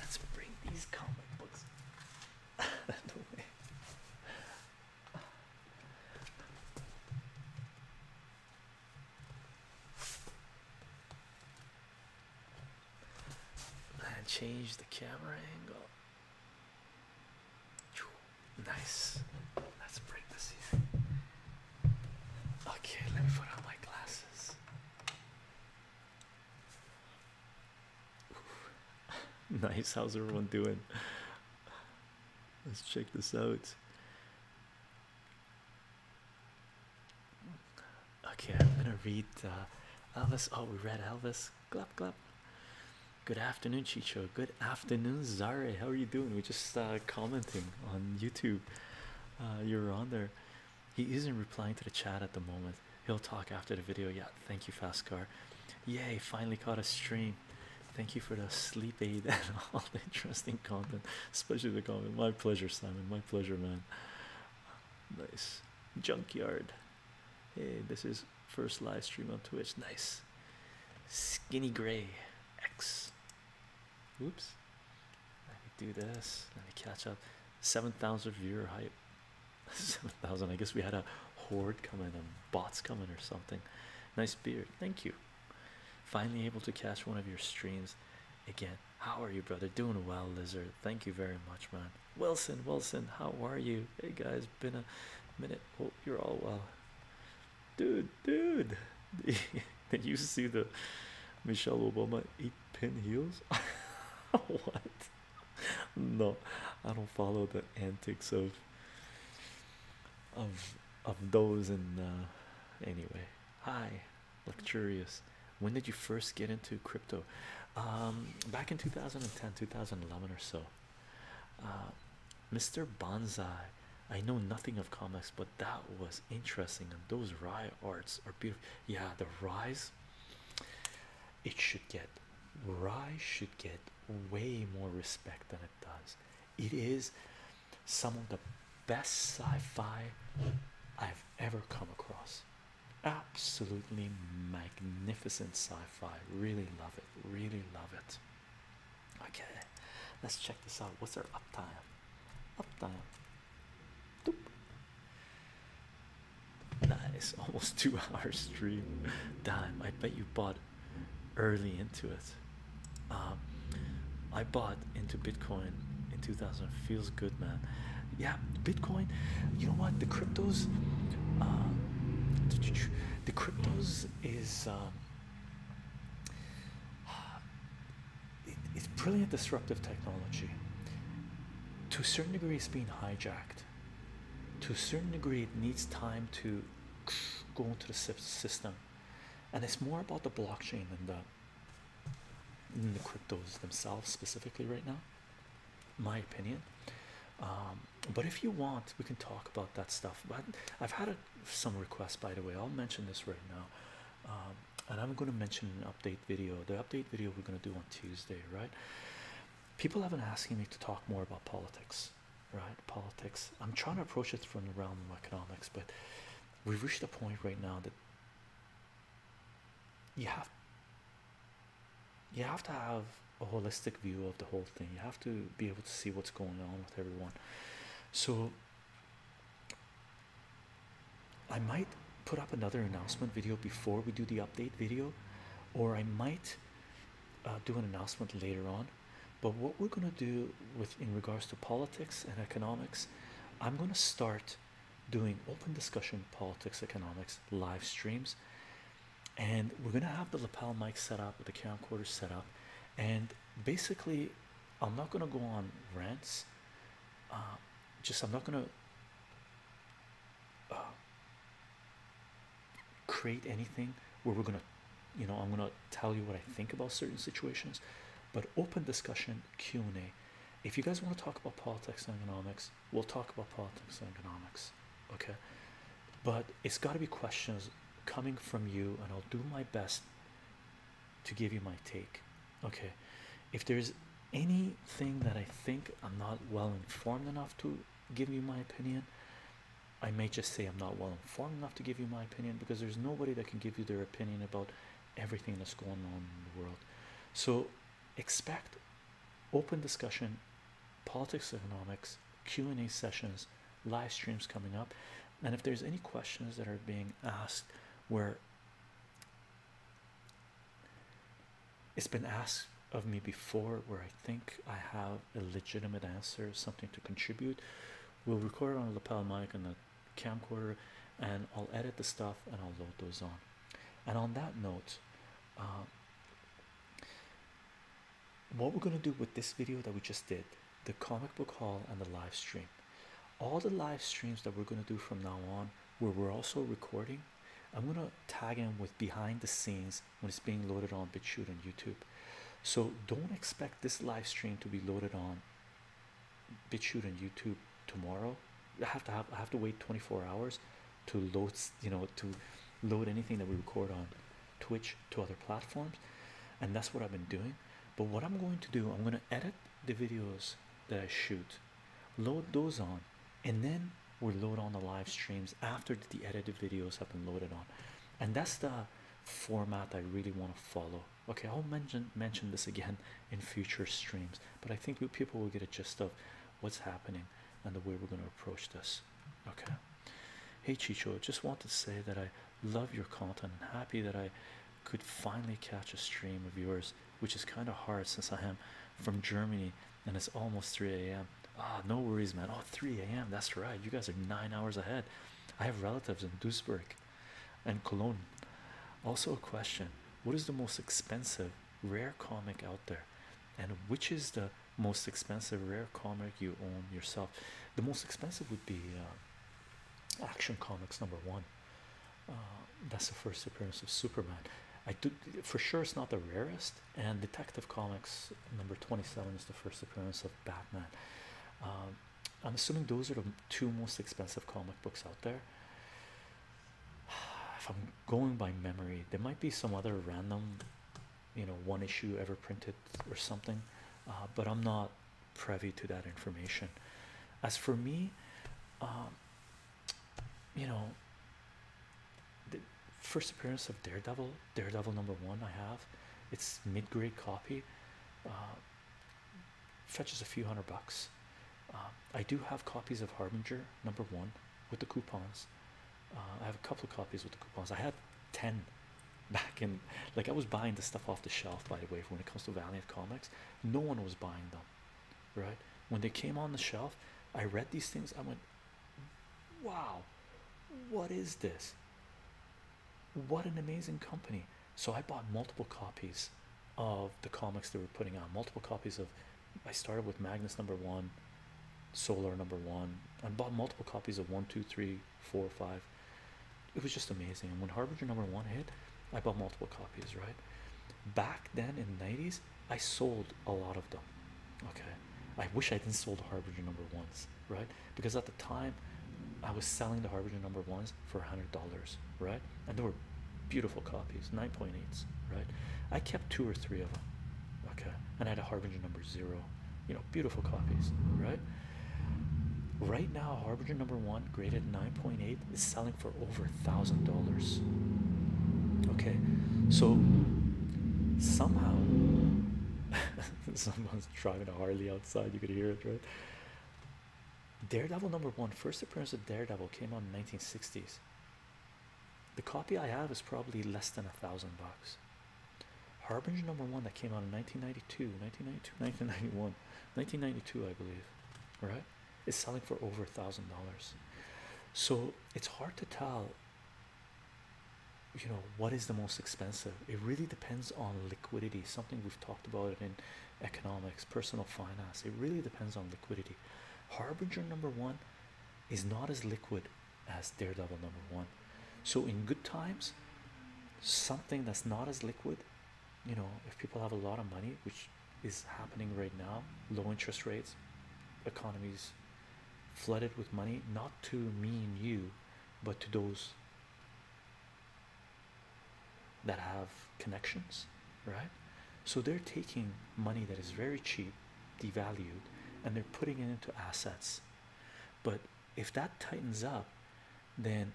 Let's bring these comic books the way. change the camera angle. Nice. Let's break this here. Okay, let me put on my glasses. nice, how's everyone doing? Let's check this out. Okay, I'm gonna read uh, Elvis. Oh, we read Elvis. Clap, clap. Good afternoon, Chicho. Good afternoon, Zare. How are you doing? We just uh, commenting on YouTube. Uh, you're on there. He isn't replying to the chat at the moment. He'll talk after the video. Yeah, thank you, Fascar. Yay, finally caught a stream. Thank you for the sleep aid and all the interesting content, especially the comment. My pleasure, Simon. My pleasure, man. Nice. Junkyard. Hey, this is first live stream on Twitch. Nice. Skinny Gray X. Oops. Let me do this. Let me catch up. 7,000 viewer hype. 7,000. I guess we had a horde coming and um, bots coming or something. Nice beard. Thank you. Finally able to catch one of your streams again. How are you, brother? Doing well, lizard. Thank you very much, man. Wilson, Wilson, how are you? Hey guys, been a minute. Hope you're all well. Dude, dude. Did you see the Michelle Obama pin heels. what? No, I don't follow the antics of of of those. And uh, anyway, hi, luxurious. When did you first get into crypto? Um, back in 2010, 2011 or so. Uh, Mr. Bonsai, I know nothing of comics, but that was interesting. And those Rye arts are beautiful. Yeah, the rye. It should get rye should get way more respect than it does. It is some of the best sci-fi I've ever come across. Absolutely magnificent sci-fi. Really love it. Really love it. Okay, let's check this out. What's our uptime? Uptime Nice, almost two hours stream. Dime, I bet you bought early into it. Um, I bought into Bitcoin in 2000. Feels good, man. Yeah, Bitcoin. You know what? The cryptos, um, the cryptos is. Um, it's brilliant disruptive technology. To a certain degree, it's being hijacked. To a certain degree, it needs time to go into the system, and it's more about the blockchain than the, than the cryptos themselves specifically right now. My opinion. Um, but if you want, we can talk about that stuff. But I've had some requests, by the way. I'll mention this right now. Um, and I'm going to mention an update video. The update video we're going to do on Tuesday, right? People have been asking me to talk more about politics, right? Politics. I'm trying to approach it from the realm of economics, but we've reached a point right now that you have you have to have a holistic view of the whole thing. You have to be able to see what's going on with everyone. So I might put up another announcement video before we do the update video, or I might uh, do an announcement later on. But what we're going to do with in regards to politics and economics, I'm going to start doing open discussion politics economics live streams, and we're going to have the lapel mic set up with the camcorder set up, and basically, I'm not going to go on rants. Uh, just I'm not gonna uh, create anything where we're gonna you know I'm gonna tell you what I think about certain situations but open discussion Q and A if you guys want to talk about politics and economics we'll talk about politics and economics okay but it's got to be questions coming from you and I'll do my best to give you my take okay if there's anything that i think i'm not well informed enough to give you my opinion i may just say i'm not well informed enough to give you my opinion because there's nobody that can give you their opinion about everything that's going on in the world so expect open discussion politics economics q&a sessions live streams coming up and if there's any questions that are being asked where it's been asked of me before where I think I have a legitimate answer, something to contribute. We'll record on a lapel mic and a camcorder, and I'll edit the stuff and I'll load those on. And on that note, um, what we're going to do with this video that we just did the comic book haul and the live stream all the live streams that we're going to do from now on where we're also recording I'm gonna tag him with behind the scenes when it's being loaded on BitChute and YouTube. So don't expect this live stream to be loaded on BitChute and YouTube tomorrow. I have to have I have to wait 24 hours to load you know to load anything that we record on Twitch to other platforms, and that's what I've been doing. But what I'm going to do, I'm gonna edit the videos that I shoot, load those on, and then we load on the live streams after the edited videos have been loaded on and that's the format i really want to follow okay i'll mention mention this again in future streams but i think people will get a gist of what's happening and the way we're going to approach this okay hey chicho just want to say that i love your content and happy that i could finally catch a stream of yours which is kind of hard since i am from Germany, and it's almost 3 a.m. Ah, no worries, man. Oh, 3 a.m. That's right. You guys are nine hours ahead. I have relatives in Duisburg and Cologne. Also, a question What is the most expensive rare comic out there? And which is the most expensive rare comic you own yourself? The most expensive would be uh, Action Comics number one. Uh, that's the first appearance of Superman. I do for sure it's not the rarest. And Detective Comics number 27 is the first appearance of Batman. Um, I'm assuming those are the two most expensive comic books out there. If I'm going by memory, there might be some other random, you know, one issue ever printed or something, uh, but I'm not privy to that information. As for me, um, you know, the first appearance of Daredevil, Daredevil number one. I have it's mid grade copy, uh, fetches a few hundred bucks. Uh, I do have copies of Harbinger number one with the coupons. Uh, I have a couple of copies with the coupons. I had 10 back in, like, I was buying the stuff off the shelf, by the way, when it comes to Valiant Comics. No one was buying them right when they came on the shelf i read these things i went wow what is this what an amazing company so i bought multiple copies of the comics they were putting out multiple copies of i started with magnus number one solar number one i bought multiple copies of one two three four five it was just amazing and when harbinger number one hit i bought multiple copies right back then in the 90s I sold a lot of them. Okay, I wish I didn't sold the Harbinger number ones, right? Because at the time I was selling the Harbinger number ones for a hundred dollars, right? And they were beautiful copies, 9.8s, right? I kept two or three of them, okay, and I had a Harbinger number zero, you know, beautiful copies, right? Right now, Harbinger number one graded 9.8 is selling for over a thousand dollars. Okay, so somehow someone's driving a Harley outside, you could hear it, right? Daredevil number one, first appearance of Daredevil came out in 1960s. The copy I have is probably less than a thousand bucks. Harbinger number one that came out in 1992, 1992, 1991, 1992, I believe, right? is selling for over a thousand dollars. So it's hard to tell, you know, what is the most expensive. It really depends on liquidity, something we've talked about in economics, personal finance. It really depends on liquidity. Harbinger number one is not as liquid as Daredevil number one. So in good times, something that's not as liquid, you know, if people have a lot of money, which is happening right now low interest rates economies flooded with money not to me and you but to those that have connections right so they're taking money that is very cheap devalued and they're putting it into assets but if that tightens up then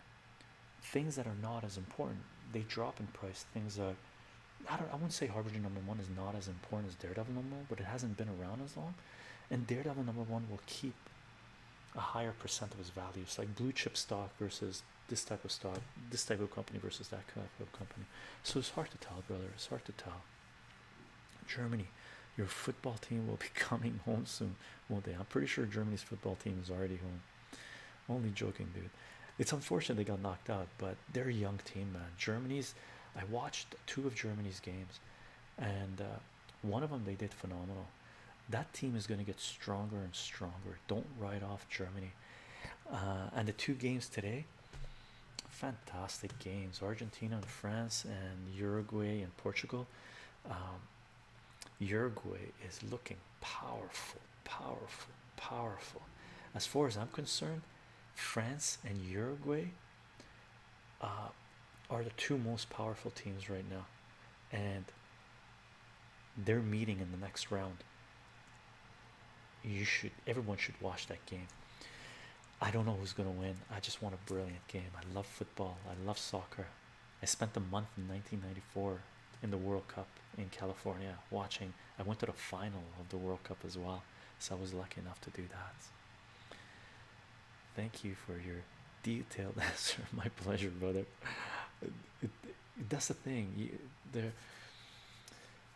things that are not as important they drop in price things are I don't I wouldn't say Harbinger number one is not as important as Daredevil number one, but it hasn't been around as long. And Daredevil number one will keep a higher percent of its value. values, like blue chip stock versus this type of stock, this type of company versus that type of company. So it's hard to tell, brother. It's hard to tell. Germany, your football team will be coming home soon, won't they? I'm pretty sure Germany's football team is already home. Only joking, dude. It's unfortunate they got knocked out, but they're a young team, man. Germany's, I watched two of Germany's games, and uh, one of them they did phenomenal. That team is going to get stronger and stronger. Don't write off Germany. Uh, and the two games today, fantastic games Argentina and France, and Uruguay and Portugal. Um, Uruguay is looking powerful, powerful, powerful. As far as I'm concerned, France and Uruguay uh, are the two most powerful teams right now, and they're meeting in the next round. You should, everyone should watch that game. I don't know who's gonna win. I just want a brilliant game. I love football. I love soccer. I spent the month in 1994 in the World Cup in California watching. I went to the final of the World Cup as well. So I was lucky enough to do that. Thank you for your detailed answer. My pleasure, brother. It, it, that's the thing. there,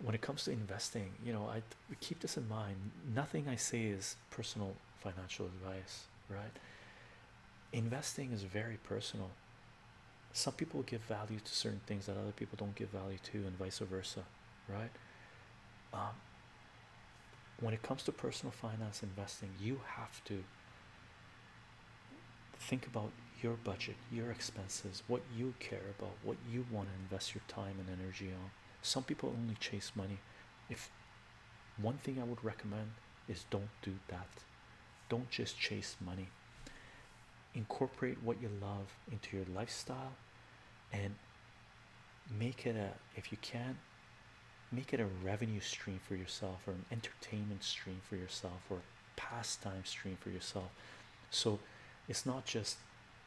when it comes to investing, you know, I keep this in mind. Nothing I say is personal financial advice, right? Investing is very personal. Some people give value to certain things that other people don't give value to, and vice versa right? Um, when it comes to personal finance investing, you have to think about your budget, your expenses, what you care about, what you want to invest your time and energy on. Some people only chase money. If one thing I would recommend is don't do that, don't just chase money incorporate what you love into your lifestyle and make it a if you can make it a revenue stream for yourself or an entertainment stream for yourself or a pastime stream for yourself so it's not just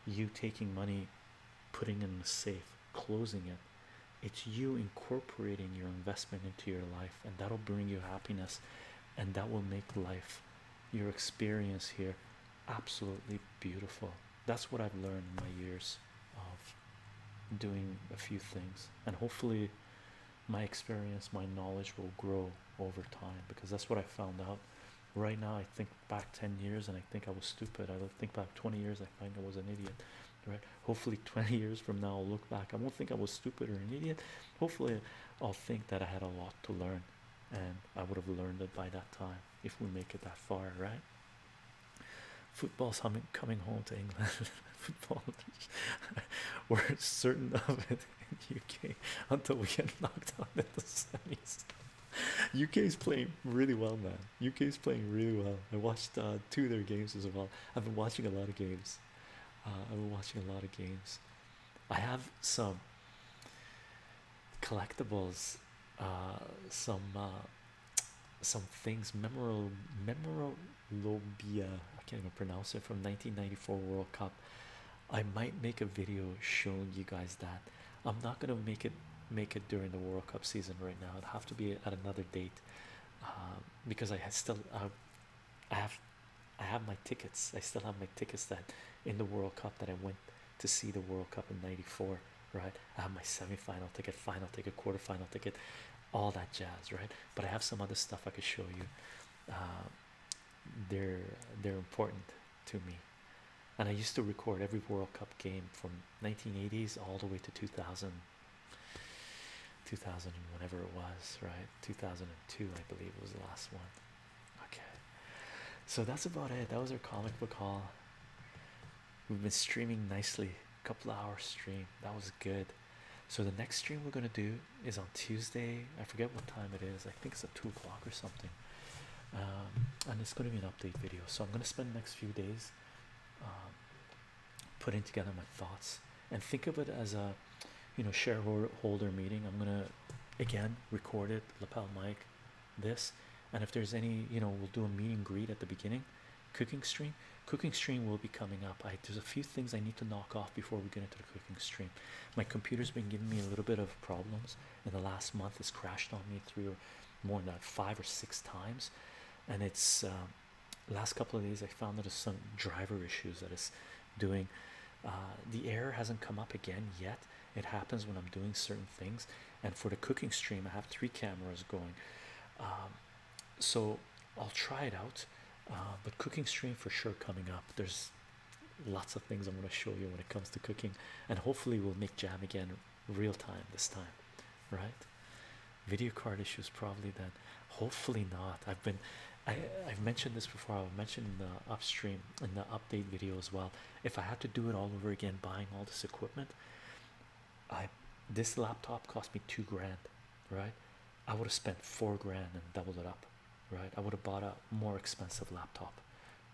you taking money putting it in a safe closing it it's you incorporating your investment into your life and that'll bring you happiness and that will make life your experience here absolutely beautiful. That's what I've learned in my years of doing a few things, and hopefully, my experience, my knowledge will grow over time because that's what I found out. Right now, I think back 10 years and I think I was stupid. I think back 20 years, I find I was an idiot. Right, hopefully, 20 years from now, I'll look back. I won't think I was stupid or an idiot. Hopefully, I'll think that I had a lot to learn and I would have learned it by that time if we make it that far, right? Football's humming, coming home to England. Football, we're certain of it in the UK until we get knocked out in the semis. UK is playing really well, now. UK is playing really well. I watched uh, two of their games as well. I've been watching a lot of games. Uh, I've been watching a lot of games. I have some collectibles, uh, some uh, some things, Memorial memorabilia. I can't even pronounce it from 1994 World Cup. I might make a video showing you guys that. I'm not gonna make it make it during the World Cup season right now. it have to be at another date uh, because I still uh, I have I have my tickets. I still have my tickets that in the World Cup that I went to see the World Cup in '94. Right, I have my semi-final ticket, final ticket, quarter-final ticket, all that jazz. Right, but I have some other stuff I could show you. Um, they're they're important to me, and I used to record every World Cup game from 1980s all the way to 2000. 2000 and whenever it was right 2002 i believe was the last one Okay, so that's about it. That was our comic book haul. We've been streaming nicely, a couple hours stream. That was good. So the next stream we're gonna do is on Tuesday. I forget what time it is. I think it's at two o'clock or something. Um, and it's gonna be an update video. So I'm gonna spend the next few days um, putting together my thoughts and think of it as a you know shareholder meeting. I'm gonna again record it lapel mic this and if there's any you know we'll do a meet and greet at the beginning cooking stream cooking stream will be coming up i there's a few things i need to knock off before we get into the cooking stream my computer's been giving me a little bit of problems in the last month it's crashed on me three or more than five or six times and it's um, last couple of days i found that there's some driver issues that is doing uh, the error hasn't come up again yet it happens when i'm doing certain things and for the cooking stream i have three cameras going um, so i'll try it out uh, but cooking stream for sure coming up there's lots of things i'm going to show you when it comes to cooking and hopefully we'll make jam again real time this time right video card issues probably then hopefully not i've been i i've mentioned this before i'll mention in the upstream in the update video as well if I had to do it all over again, buying all this equipment, I this laptop cost me two grand, right? I would have spent four grand and doubled it up, right? I would have bought a more expensive laptop,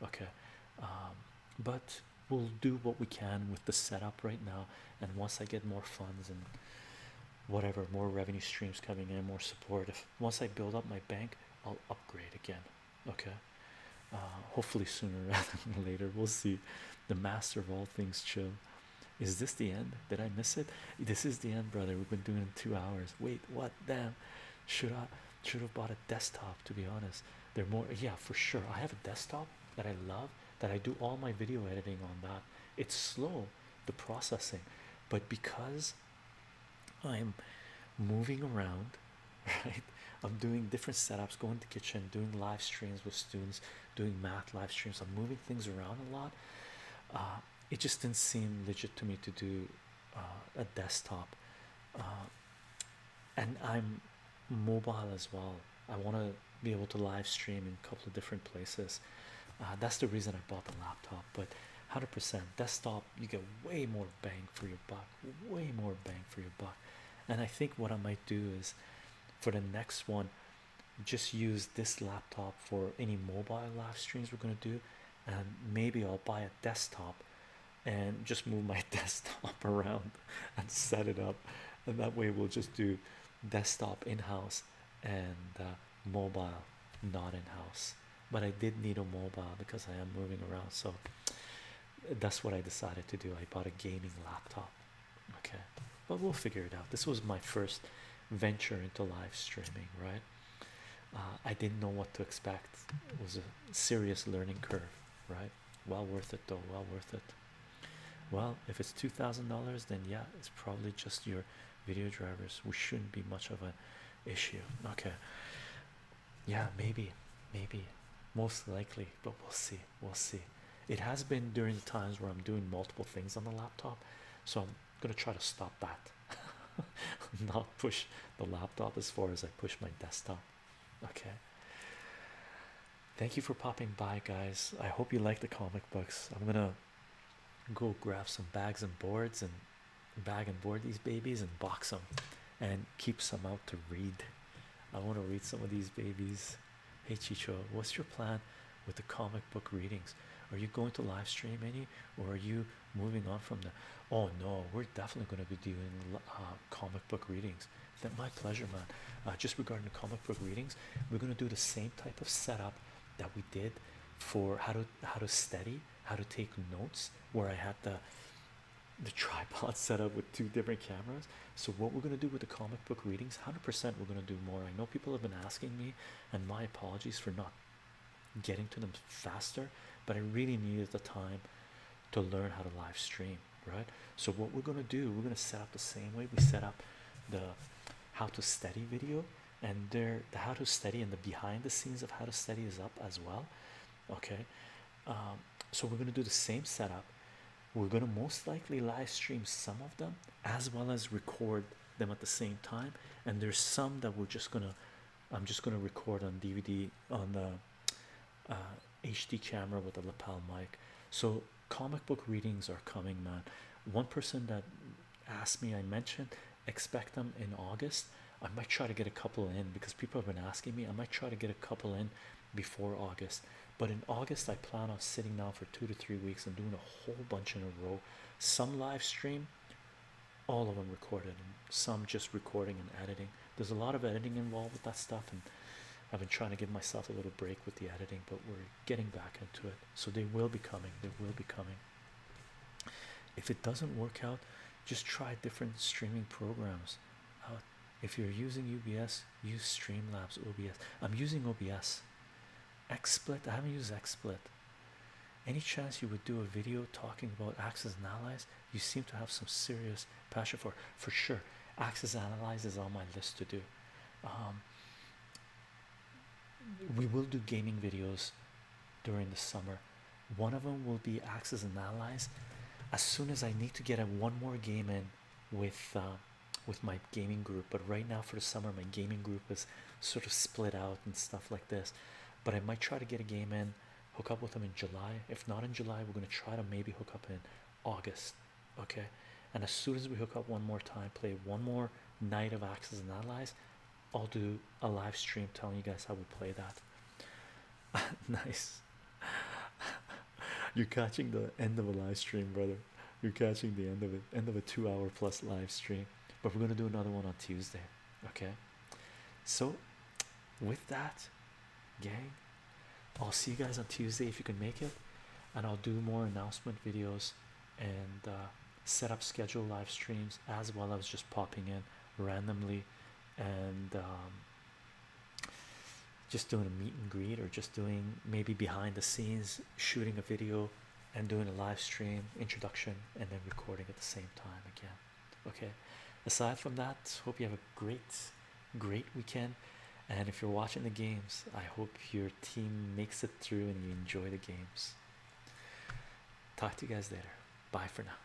okay? Um, but we'll do what we can with the setup right now, and once I get more funds and whatever, more revenue streams coming in, more support. If once I build up my bank, I'll upgrade again okay uh, hopefully sooner rather than later we'll see the master of all things chill is this the end did i miss it this is the end brother we've been doing it two hours wait what damn should i should have bought a desktop to be honest they're more yeah for sure i have a desktop that i love that i do all my video editing on that it's slow the processing but because i'm moving around right I'm doing different setups going to kitchen doing live streams with students doing math live streams i'm moving things around a lot uh, it just didn't seem legit to me to do uh, a desktop uh, and i'm mobile as well i want to be able to live stream in a couple of different places that's the reason i bought the laptop but 100% desktop you get way more bang for your buck way more bang for your buck. And I think what I might do is for the next one, just use this laptop for any mobile live streams we're going to do. And maybe I'll buy a desktop and just move my desktop around and set it up. And that way we'll just do desktop in house and uh, mobile not in house. But I did need a mobile because I am moving around. So that's what I decided to do. I bought a gaming laptop, okay, but we'll figure it out. This was my first venture into live streaming, right? Uh, I didn't know what to expect, it was a serious learning curve, right? Well worth it, though. Well worth it. Well, if it's two thousand dollars, then yeah, it's probably just your video drivers. We shouldn't be much of an issue, okay? yeah maybe maybe most likely but we'll see we'll see it has been during the times where i'm doing multiple things on the laptop so i'm gonna try to stop that not push the laptop as far as i push my desktop okay thank you for popping by guys i hope you like the comic books i'm gonna go grab some bags and boards and bag and board these babies and box them and keep some out to read I want to read some of these babies. Hey Chicho, what's your plan with the comic book readings? Are you going to live stream any, or are you moving on from that? Oh no, we're definitely going to be doing uh, comic book readings. That my pleasure, man. Uh, just regarding the comic book readings, we're going to do the same type of setup that we did for how to how to study, how to take notes. Where I had the the tripod setup with two different cameras. So what we're gonna do with the comic book readings, hundred percent, we're gonna do more. I know people have been asking me, and my apologies for not getting to them faster, but I really needed the time to learn how to live stream, right? So what we're gonna do, we're gonna set up the same way we set up the how to study video, and there the how to study and the behind the scenes of how to study is up as well okay um, so we're going to do the same setup we're going to most likely live stream some of them as well as record them at the same time and there's some that we're just going to i'm just going to record on dvd on the hd uh, camera with a lapel mic so comic book readings are coming man one person that asked me i mentioned expect them in august i might try to get a couple in because people have been asking me i might try to get a couple in before August. But in August, I plan on sitting down for two to three weeks and doing a whole bunch in a row. Some live stream, all of them recorded, and some just recording and editing. There's a lot of editing involved with that stuff, and I've been trying to give myself a little break with the editing, but we're getting back into it. So they will be coming. They will be coming. If it doesn't work out, just try different streaming programs. Uh, if you're using UBS, use Streamlabs OBS. I'm using OBS. XSplit, I haven't used XSplit. Any chance you would do a video talking about Axis and Allies? You seem to have some serious passion for for sure. and Allies is on my list to do. Um, we will do gaming videos during the summer. One of them will be Axis and Allies as soon as I need to get a one more game in with uh, with my gaming group. But right now for the summer, my gaming group is sort of split out and stuff like this. But I might try to get a game in, hook up with them in July. If not in July, we're gonna try to maybe hook up in August. Okay. And as soon as we hook up one more time, play one more night of Axis and Allies, I'll do a live stream telling you guys how we play that. nice. You're catching the end of a live stream, brother. You're catching the end of it, end of a two hour plus live stream. But we're going to do another one on Tuesday. Okay. So, with that, gang, I'll see you guys on Tuesday if you can make it. And I'll do more announcement videos and uh, set up scheduled live streams as well as just popping in randomly and um, just doing a meet and greet, or just doing maybe behind the scenes shooting a video and doing a live stream introduction and then recording at the same time again. Okay, aside from that, hope you have a great, great weekend. And if you're watching the games, I hope your team makes it through and you enjoy the games. Talk to you guys later. Bye for now.